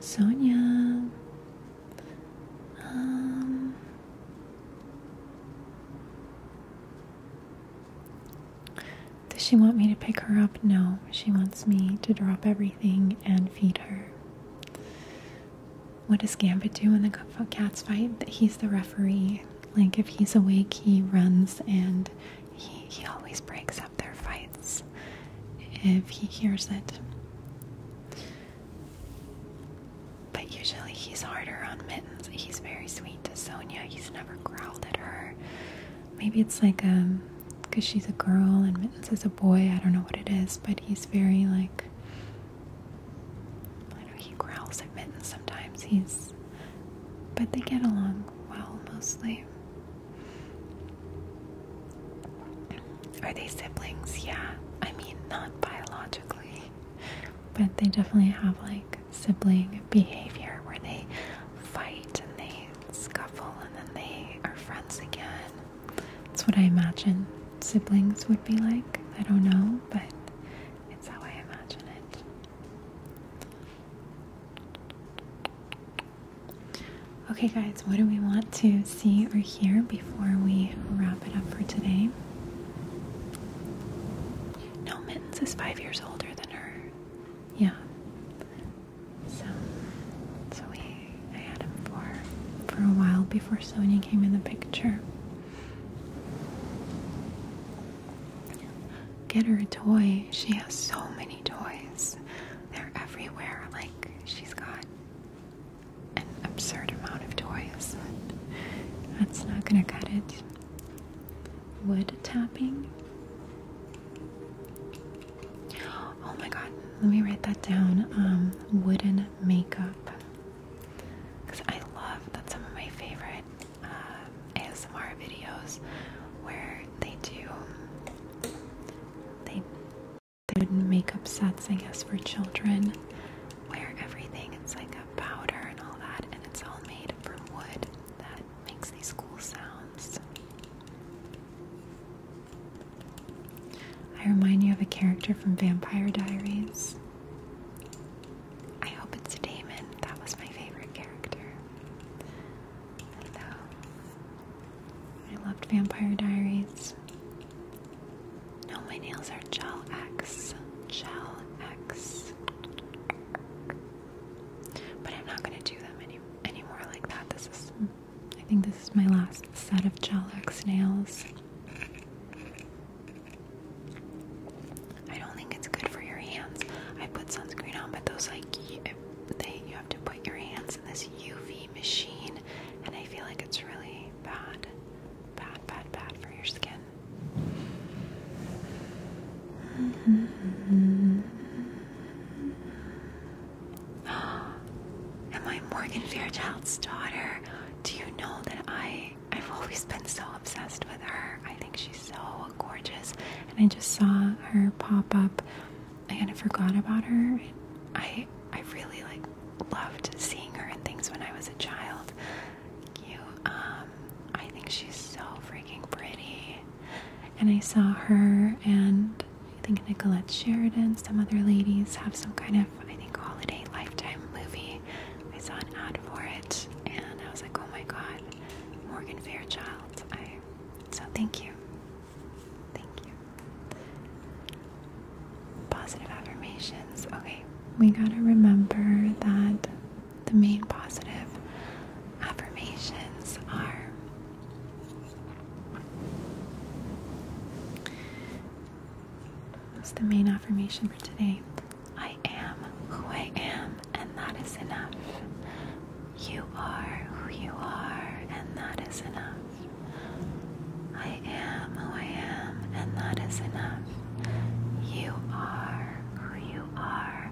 Sonia, um, does she want me to pick her up? No, she wants me to drop everything and feed her. What does Gambit do when the cats fight? That he's the referee. Like if he's awake, he runs and he he always breaks up their fights if he hears it. But usually he's harder on Mittens. He's very sweet to Sonia. He's never growled at her. Maybe it's like um because she's a girl and Mittens is a boy. I don't know what it is, but he's very like I know he growls at Mittens sometimes. He's but they get along well mostly. Are they siblings? Yeah. I mean, not biologically but they definitely have like sibling behavior where they fight and they scuffle and then they are friends again. That's what I imagine siblings would be like. I don't know, but it's how I imagine it. Okay, guys, what do we want to see or hear before we wrap it up for today? No, Mittens is five years older than her. Yeah. So, so we, had him for for a while before Sonya came in the picture. Get her a toy. She has so many toys. They're everywhere. Like she's got an absurd amount of toys. That's not gonna cut it. Wood tapping. Oh my god, let me write that down. Um, wooden makeup. Because I love that. some of my favorite uh, ASMR videos where they do they, they wooden makeup sets, I guess, for children wear everything. It's like a powder and all that, and it's all made from wood that makes these cool sounds. I remind you of a character from Vampire Diaries. I hope it's Damon. That was my favorite character. I loved Vampire Diaries. No, my nails are gel X. Gel X. But I'm not going to do them any anymore like that. This is, I think, this is my last set of gel X nails. I don't think it's good for your hands. I put sunscreen on, but those like they you have to put your hands in this UV machine, and I feel like it's really bad bad, bad, bad for your skin. Am I Morgan Fairchild's daughter? Do you know that I I've always been so obsessed with her. I think she's so gorgeous. And I just saw her pop up. I kind of forgot about her. I I really like loved seeing her in things when I was a child cute. Um, I think she's so freaking pretty. And I saw her and I think Nicolette Sheridan, some other ladies have some kind of I think holiday lifetime movie. I saw an ad for it and I was like, oh my god, Morgan Fairchild. I so thank you. Thank you. Positive affirmations. Okay, we gotta remember that the main positive affirmations are That's the main affirmation for today? I am who I am, and that is enough. You are who you are, and that is enough. I am who I am, and that is enough. You are who you are,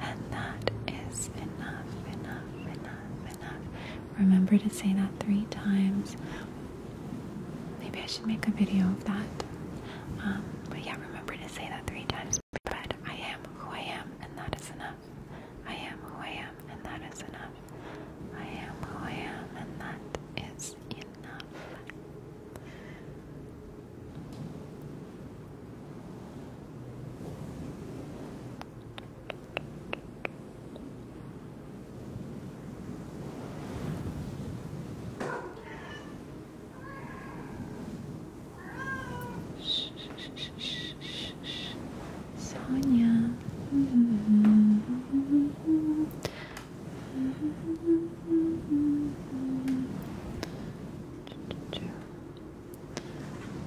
and that is enough, enough, enough, enough. Remember to say that three times. Maybe I should make a video of that. Um, but yeah, remember to say that three times. But I am who I am, and that is enough. I am who I am, and that is enough. I am who I am, and that is enough enough. Sonia. Mm-hmm.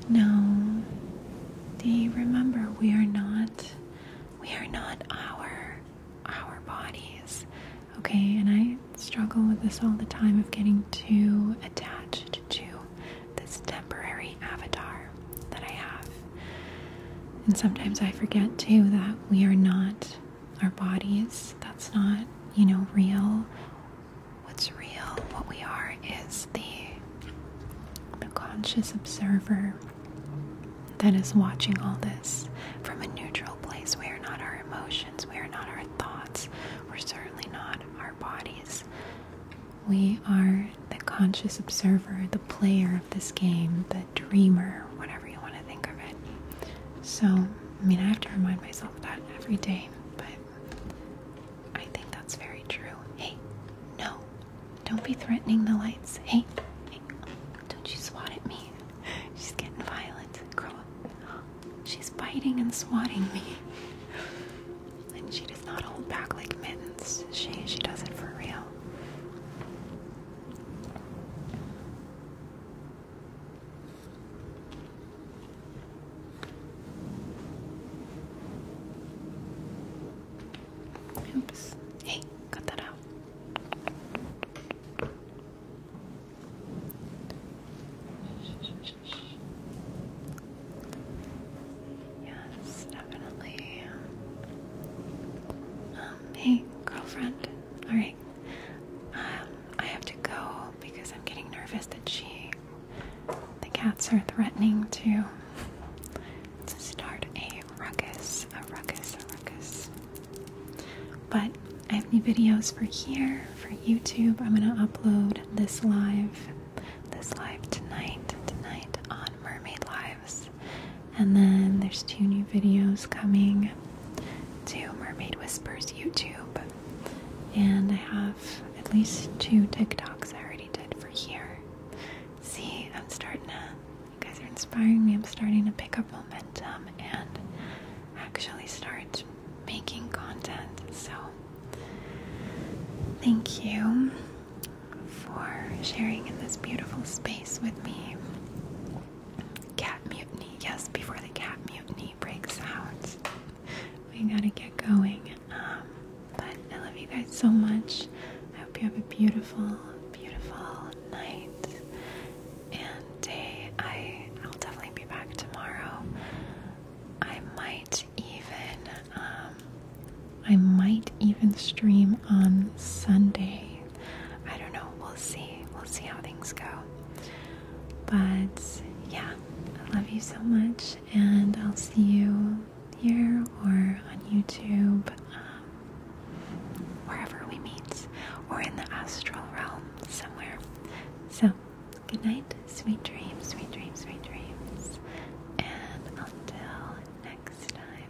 No. They remember we are not we are not our our bodies. Okay, and I struggle with this all the time of getting too attached to this temporary avatar that I have. And sometimes I forget too that we are not our bodies. That's not, you know, real. What's real, what we are, is the, conscious observer that is watching all this from a neutral place. We are not our emotions, we are not our thoughts, we're certainly not our bodies. We are the conscious observer, the player of this game, a dreamer, whatever you want to think of it. So, I mean, I have to remind myself of that every day, but I think that's very true. Hey, no, don't be threatening the lights. Hey, hey, don't you swat at me. She's getting violent. Girl, she's biting and swatting me. And she does not hold back like mittens. She she does it for real. Oops. Hey, cut that out. Yes, definitely. Um, hey, girlfriend. Alright, um, I have to go because I'm getting nervous that she, the cats are threatening to, to start a ruckus, a ruckus, a ruckus. But I have new videos for here, for YouTube. I'm gonna upload this live, this live tonight, tonight on Mermaid Lives. And then there's two new videos coming to Mermaid Whispers YouTube. And I have at least two TikToks I already did for here. See, I'm starting to, you guys are inspiring me. I'm starting to pick up momentum and actually start making content. So, thank you for sharing in this beautiful space with me. Cat mutiny. Yes, before the cat mutiny breaks out. We gotta get going. Um, but I love you guys so much. I hope you have a beautiful, beautiful night and day. I I'll definitely be back tomorrow. I might even um, I might even stream on Sunday I don't know. We'll see. We'll see how things go. But yeah, I love you so much, and I'll see you here or on YouTube, um, wherever we meet, or in the astral realm somewhere. So, good night, sweet dreams, sweet dreams, sweet dreams, and until next time.